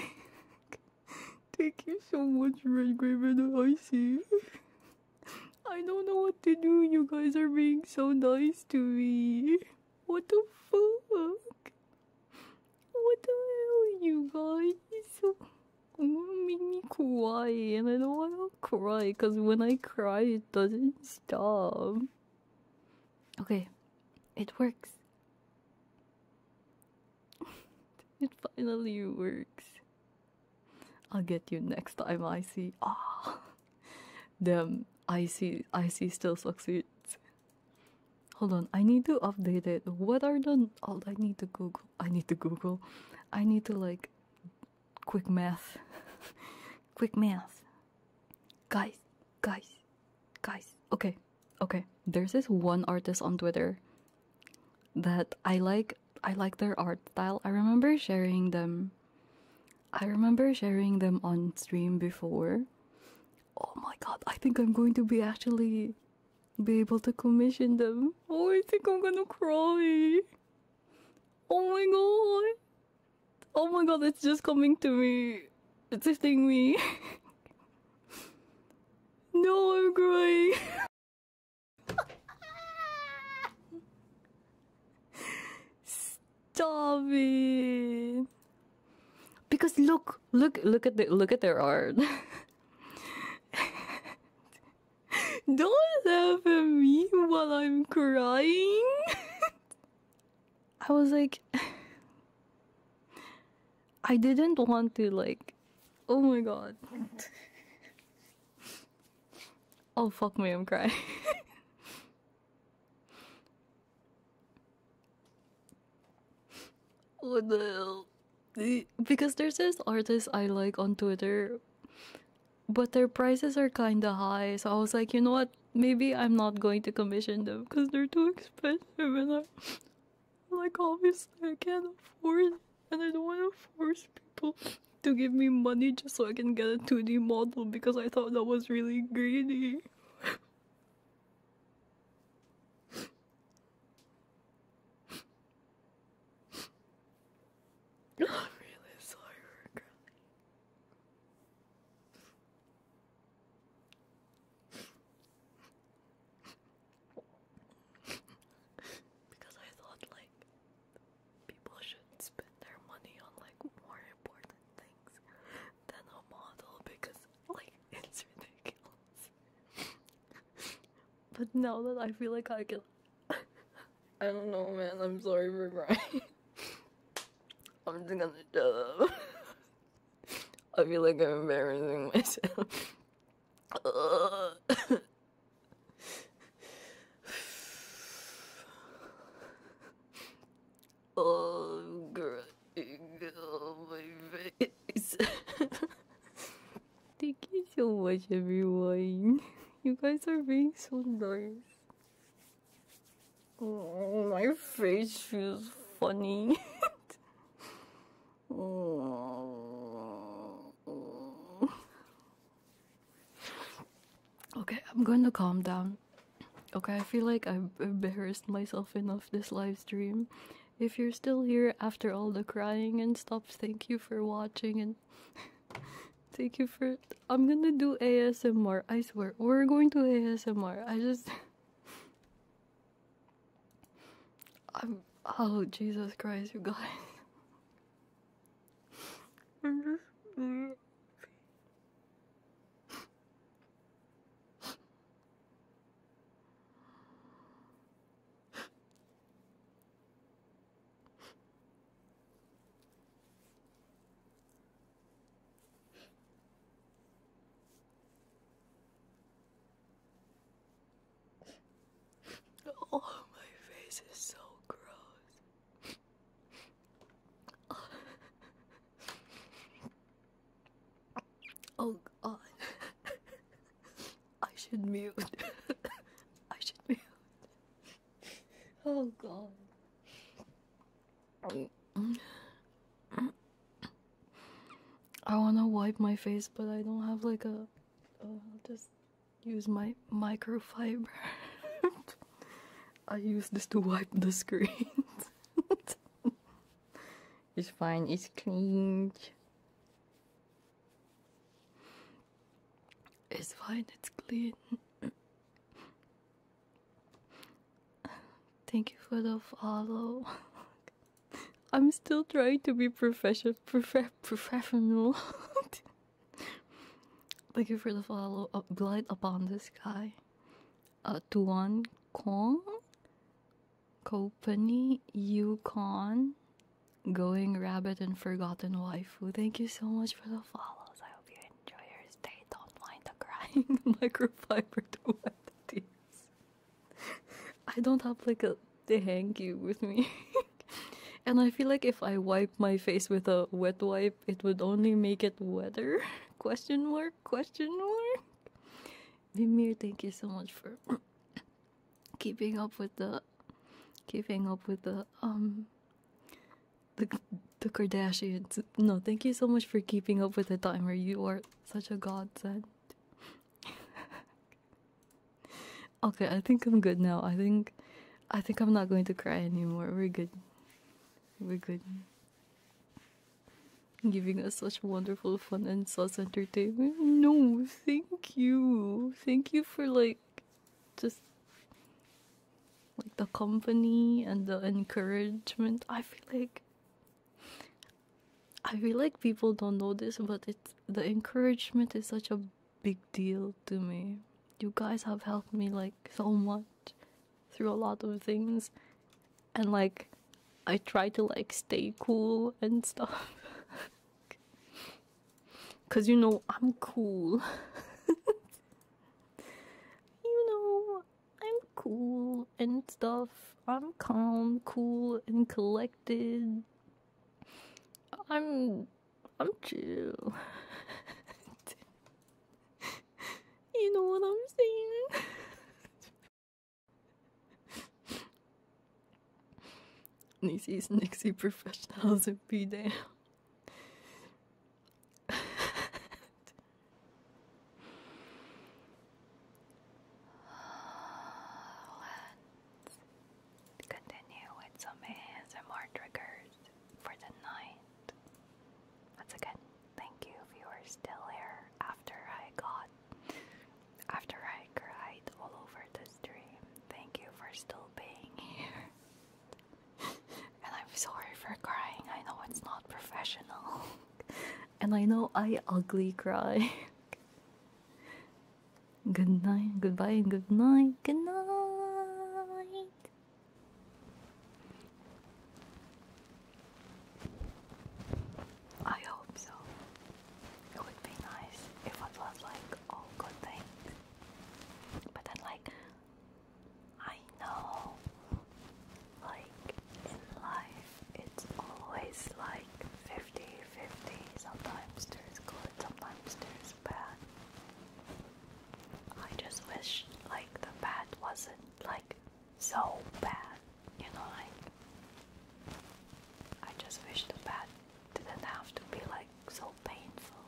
*laughs* Thank you so much, Red Graven. I see. I don't know what to do. You guys are being so nice to me. What the fuck? What the hell, you guys? You make me cry, and I don't want to cry because when I cry, it doesn't stop. Okay, it works. *laughs* it finally works. I'll get you next time, I Icy. Ah, *laughs* damn, Icy, Icy still sucks it. Hold on, I need to update it. What are the? Oh, I need to Google. I need to Google. I need to like, quick math. *laughs* quick math. Guys, guys, guys, okay, okay. There's this one artist on Twitter that I like. I like their art style. I remember sharing them. I remember sharing them on stream before. Oh my god, I think I'm going to be actually be able to commission them. Oh, I think I'm gonna cry. Oh my god. Oh my god, it's just coming to me. It's lifting me. *laughs* no, I'm crying. Stop it. Because look, look, look at the look at their art. *laughs* Don't laugh at me while I'm crying. *laughs* I was like I didn't want to like oh my god. *laughs* oh fuck me, I'm crying. *laughs* what the hell? Because there's this artist I like on Twitter, but their prices are kinda high, so I was like, you know what? Maybe I'm not going to commission them because they're too expensive like, obviously, I can't afford and I don't want to force people to give me money just so I can get a 2D model because I thought that was really greedy. *laughs* I'm really sorry for because I thought like people should spend their money on like more important things than a model because like *laughs* it's ridiculous. but now that I feel like I can *laughs* I don't know man, I'm sorry for crying. *laughs* I'm just gonna shut I feel like I'm embarrassing myself. oh, crying my face. Thank you so much, everyone. You guys are being so nice. Oh, my face feels funny. *laughs* *laughs* Okay, I'm going to calm down. Okay, I feel like I've embarrassed myself enough this live stream. If you're still here after all the crying and stuff, thank you for watching and *laughs* thank you for. I'm gonna do ASMR, I swear. We're going to ASMR. I just. *laughs* I'm. Oh, Jesus Christ, you guys. I'm just. Oh, my face is so gross. Oh god. I should mute. I should mute. Oh god. I want to wipe my face, but I don't have like a. will just use my microfiber. *laughs* I use this to wipe the screen. *laughs* it's fine, it's clean. It's fine, it's clean. Thank you for the follow. *laughs* I'm still trying to be profession, professional. *laughs* Thank you for the follow. Uh, glide upon the sky. Uh, Tuan Kong. Company Yukon. Going Rabbit and Forgotten wife. Thank you so much for the follows. I hope you enjoy your stay. Don't mind the crying. *laughs* Microfiber to wet the tears. *laughs* I don't have like a hanky with me. *laughs* and I feel like if I wipe my face with a wet wipe, it would only make it wetter. *laughs* question mark, question mark. Vimir, thank you so much for *coughs* keeping up with the keeping up with the um the the Kardashians. No, thank you so much for keeping up with the timer. You are such a godsend. *laughs* okay, I think I'm good now. I think I think I'm not going to cry anymore. We're good. We're good. Giving us such wonderful fun and sauce entertainment. No, thank you. Thank you for like just like the company and the encouragement. I feel like I feel like people don't know this, but it's the encouragement is such a big deal to me. You guys have helped me like so much through a lot of things, and like I try to like stay cool and stuff. *laughs* Cause you know I'm cool. *laughs* you know I'm cool and stuff. I'm calm, cool, and collected. I'm I'm chill. *laughs* you know what I'm saying? Nisi's *laughs* Nixie professionals would be down. Let's continue with some ASMR triggers for the night. Once again, thank you if still here after I got after I cried all over the stream. Thank you for still being here. *laughs* and I'm sorry for crying, I know it's not professional. *laughs* and I know I ugly cry. *laughs* Good night, goodbye, and good night, good night. I hope so. It would be nice if it was like all good things. But then, like, I know, like, in life, it's always like 50 50. Sometimes there's good, sometimes there's bad. I just wish like the bad wasn't like so bad, you know, like I just wish the bad didn't have to be like so painful,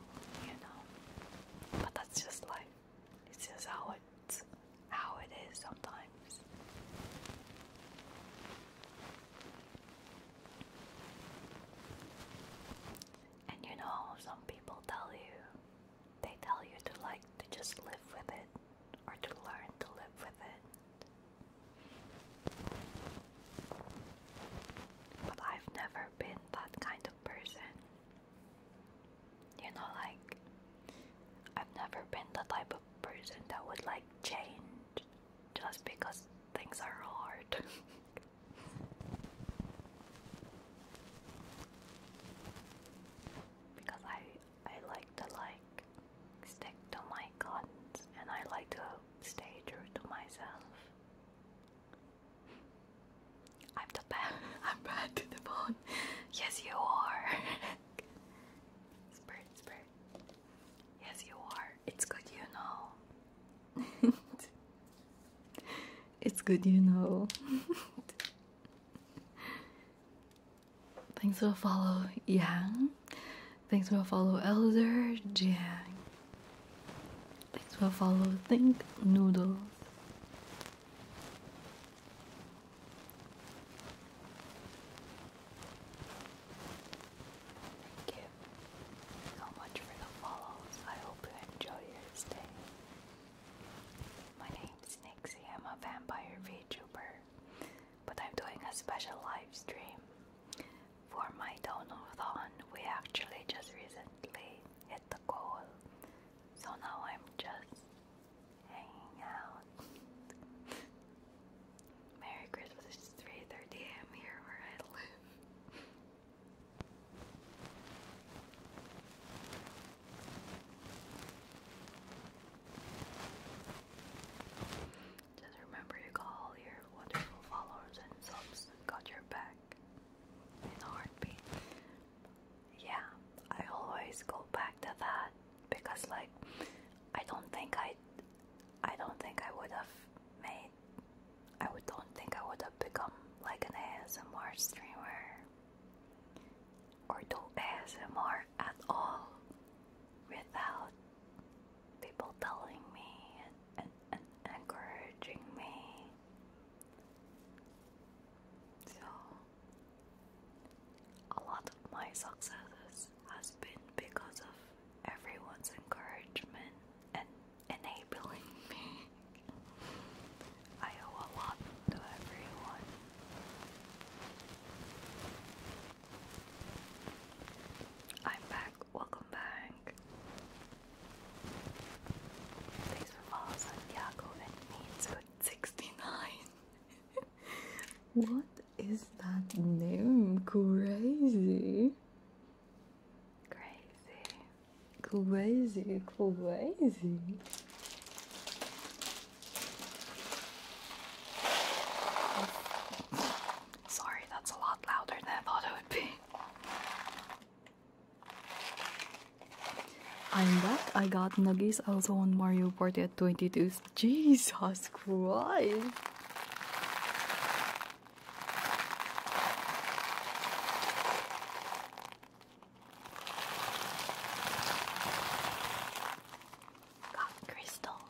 you know. But that's just life. It's just how it's how it is sometimes. And you know, some people tell you, they tell you to like to just live with it or to learn to live with it. But I've never been that kind of person. You know, like, I've never been the type person that would like change just because things are hard. *laughs* because I I like to like stick to my guns and I like to stay true to myself. I'm the bad. *laughs* I'm bad to the bone. Yes, you are. *laughs* spurt, spurt. Yes, you are. It's good, you know. *laughs* it's good, you know. *laughs* Things will follow, Yang. Things will follow, Elder Jiang. Things will follow, Think Noodles. Thank you so much for the follows. I hope you enjoy your stay. My name's Nixie. I'm a vampire VTuber, but I'm doing a special live stream for my Donovan. We actually just recently hit the goal, so now I'm just hanging out. *laughs* Merry Christmas, it's 3.30 a.m. here where I live. *laughs* Just remember you got all your wonderful followers and subs got your back in a heartbeat. Yeah, I always go back to that because like I don't think I I don't think I would have made I would don't think I would have become like an ASMR streamer or do ASMR at all without people telling me and, and, encouraging me. So a lot of my successes has been because of everyone's encouragement and enabling *laughs* me. I owe a lot to everyone. I'm back. Welcome back. Thanks for following Santiago and means good 69. *laughs* what is that name? Crazy. Crazy. Crazy, crazy. Sorry, that's a lot louder than I thought it would be. I'm back. I got nuggies. I also want Mario Party 22. Jesus Christ! crystal.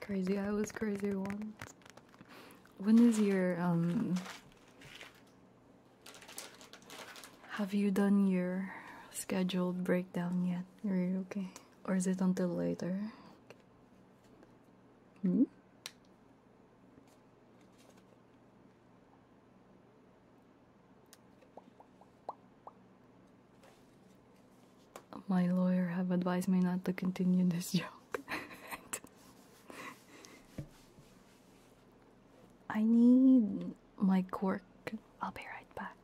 Crazy, I was crazy once. When is your um have you done your scheduled breakdown yet? Are you okay? Or is it until later? Hmm? My lawyer have advised me not to continue this *laughs* joke. I need my cork. I'll be right back.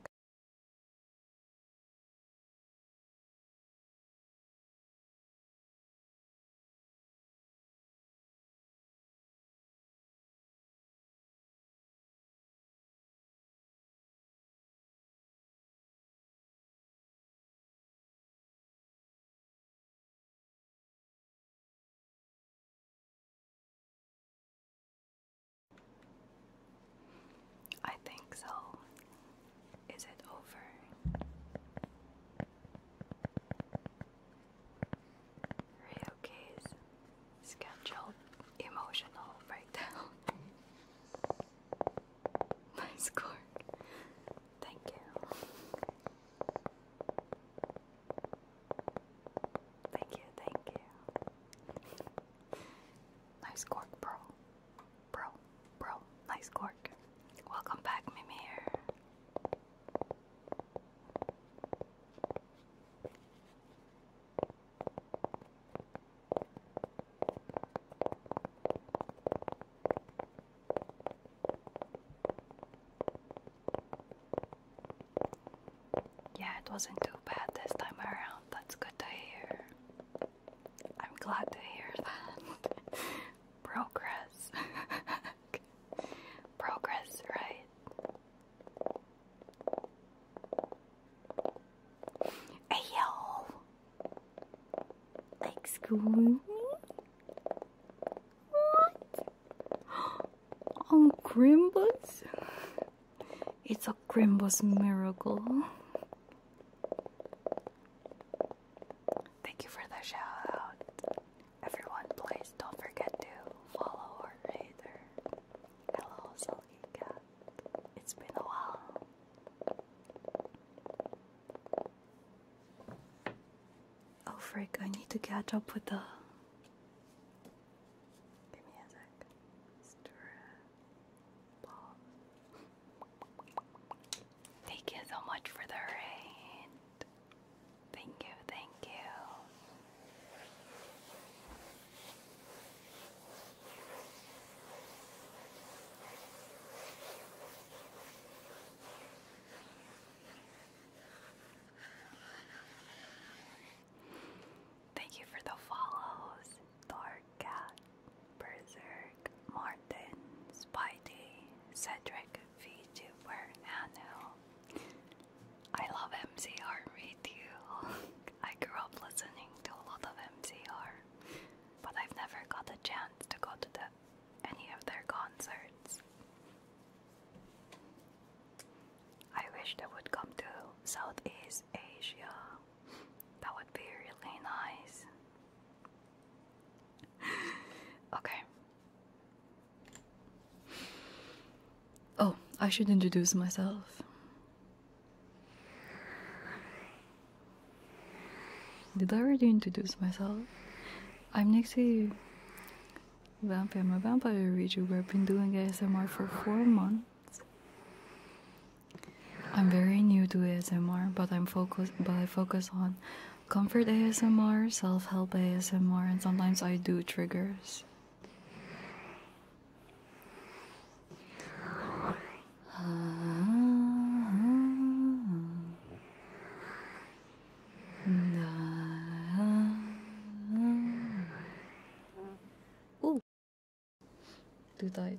I think so. Is it over? Ryuki's scheduled emotional breakdown. *laughs* My score. Thank you. Thank you, thank you. nice *laughs* cork, bro. Bro, bro, nice cork. Welcome back, Mimir. Yeah, it wasn't too bad this time around. That's good to hear. I'm glad to hear that. *laughs* Progress. *laughs* Progress, right? Hey, y'all! Like What? *gasps* Oh, Grimbus? It's a Grimbus miracle. Thank you for the shout out. Everyone, please don't forget to follow or rate her. Hello, Silky It's been a while. Oh, frick, I need to catch up with the. Give me a sec. Stir. Thank you so much for the rain. Thank you, thank you. Thank you for the follows, Thorcat. Berserk, Martin, Spidey, Cedric, VTuber, Anno. I love MCR, me too. I grew up listening to a lot of MCR, but I've never got a chance to go to any of their concerts. I wish they would come to Southeast Asia. That would be really nice. *laughs* okay. Oh, I should introduce myself. Did I already introduce myself? I'm next Nixie. Vampire, I'm a vampire reader. I've been doing ASMR for four months. I'm very new to ASMR, but I'm focused. But I focus on comfort ASMR, self help ASMR, and sometimes I do triggers. Uh-huh. Ooh. Do that.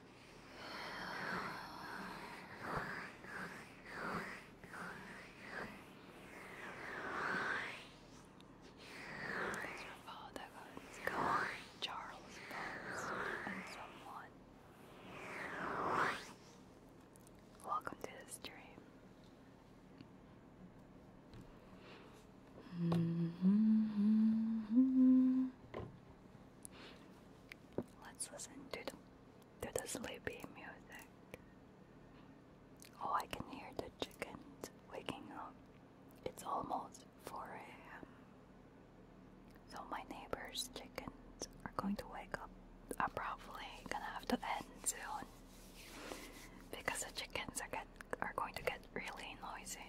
Your father was called Charles Welcome to the stream. Mm-hmm. Let's listen to the, sleepy music. Oh, I can hear the chickens waking up. It's almost 4 a.m. So my neighbor's chickens are going to wake up. I'm probably gonna have to end soon because the chickens are get are going to get really noisy.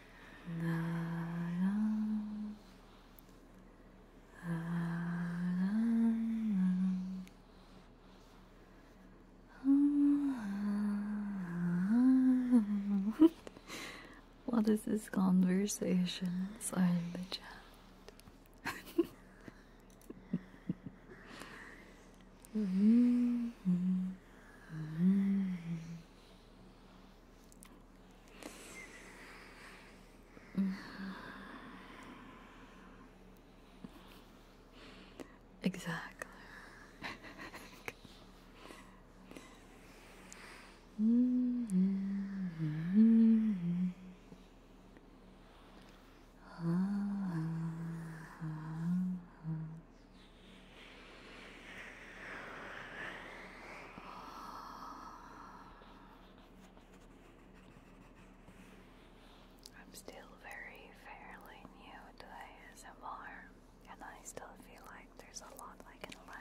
*laughs* what is this conversation? Sorry, the chat. *laughs* *laughs* Mm-hmm. Exactly. Mm-hmm. I'm still very fairly new to ASMR, and I still feel like there's a lot I can learn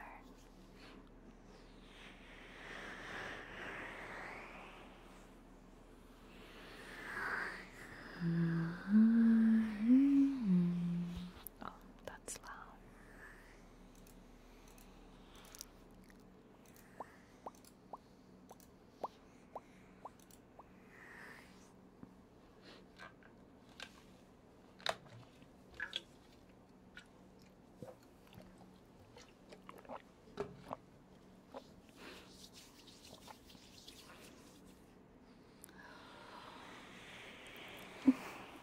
that's loud.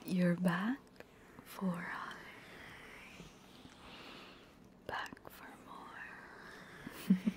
You're back for high, back for more. *laughs*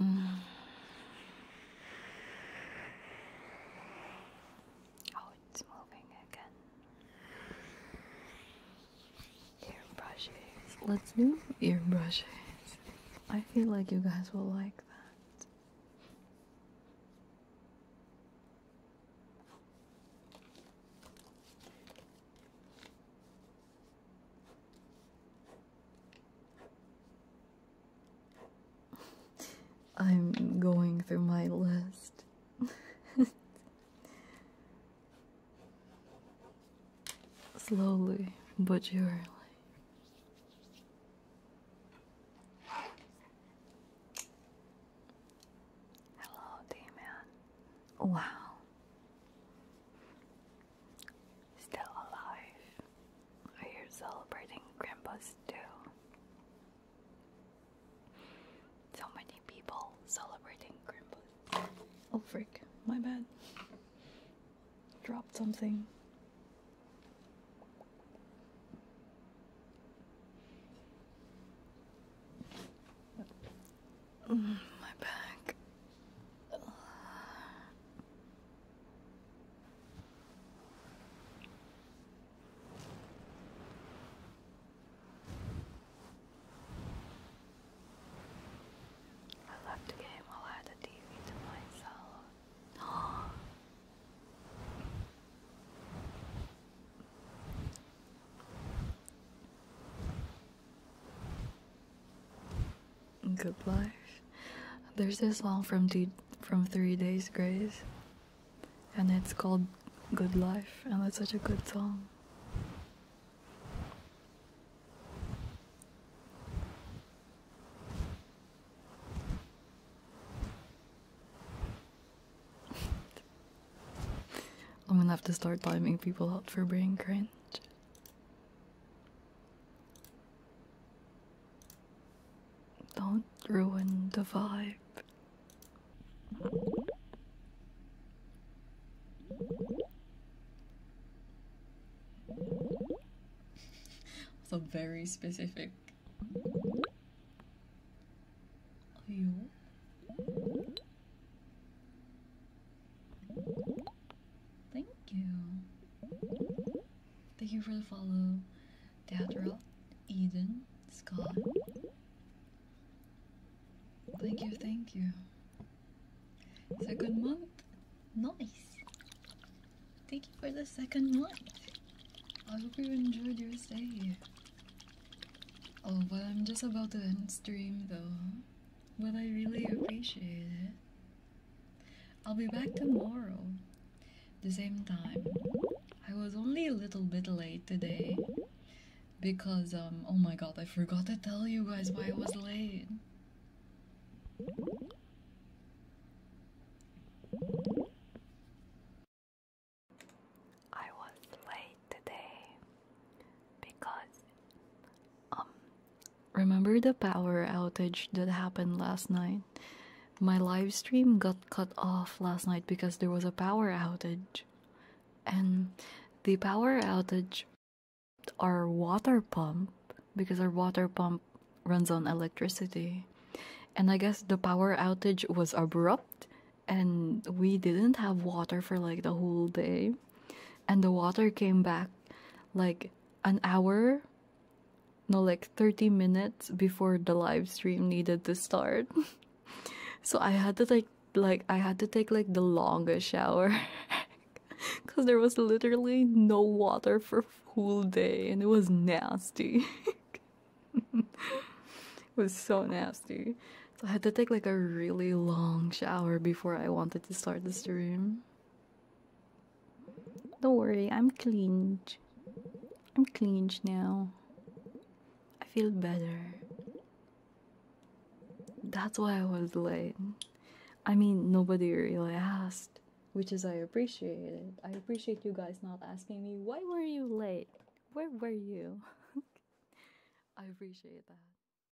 Mm. Oh, it's moving again. Ear brushes. Let's do ear brushes. I feel like you guys will like that. I'm going through my list. *laughs* Slowly but surely. Hello, d Wow. Still alive. Are oh, you celebrating grandpas too? So many people celebrating Krampus. Oh freak, my bad. Dropped something. Mm, my back. I left the game while I had the TV to myself. Oh. *gasps* Good life. There's this song from from Three Days Grace, and it's called "Good Life," and it's such a good song. *laughs* I'm gonna have to start blaming people out for being cringe. Don't ruin the vibe. So very specific. You. Thank you. Thank you for the follow. Deatra, Eden, Scott. Thank you, thank you. It's a good month. Nice. Thank you for the second month. I hope you enjoyed your stay. Oh, but I'm just about to end stream though. But I really appreciate it. I'll be back tomorrow, the same time. I was only a little bit late today because, um, oh my god, I forgot to tell you guys why I was late. I was late today because um remember the power outage that happened last night? My live stream got cut off last night because there was a power outage. And the power outage our water pump because our water pump runs on electricity. And I guess the power outage was abrupt and we didn't have water for like the whole day and the water came back like an hour no like 30 minutes before the live stream needed to start *laughs* so i had to take like i had to take like the longest shower because *laughs* there was literally no water for a whole day and it was nasty *laughs* it was so nasty so i had to take like a really long shower before I wanted to start the stream. Don't worry, I'm cleaned. I'm cleaned now. I feel better. That's why I was late. I mean, nobody really asked, which is I appreciate it. I appreciate you guys not asking me, why were you late? Where were you? *laughs* I appreciate that.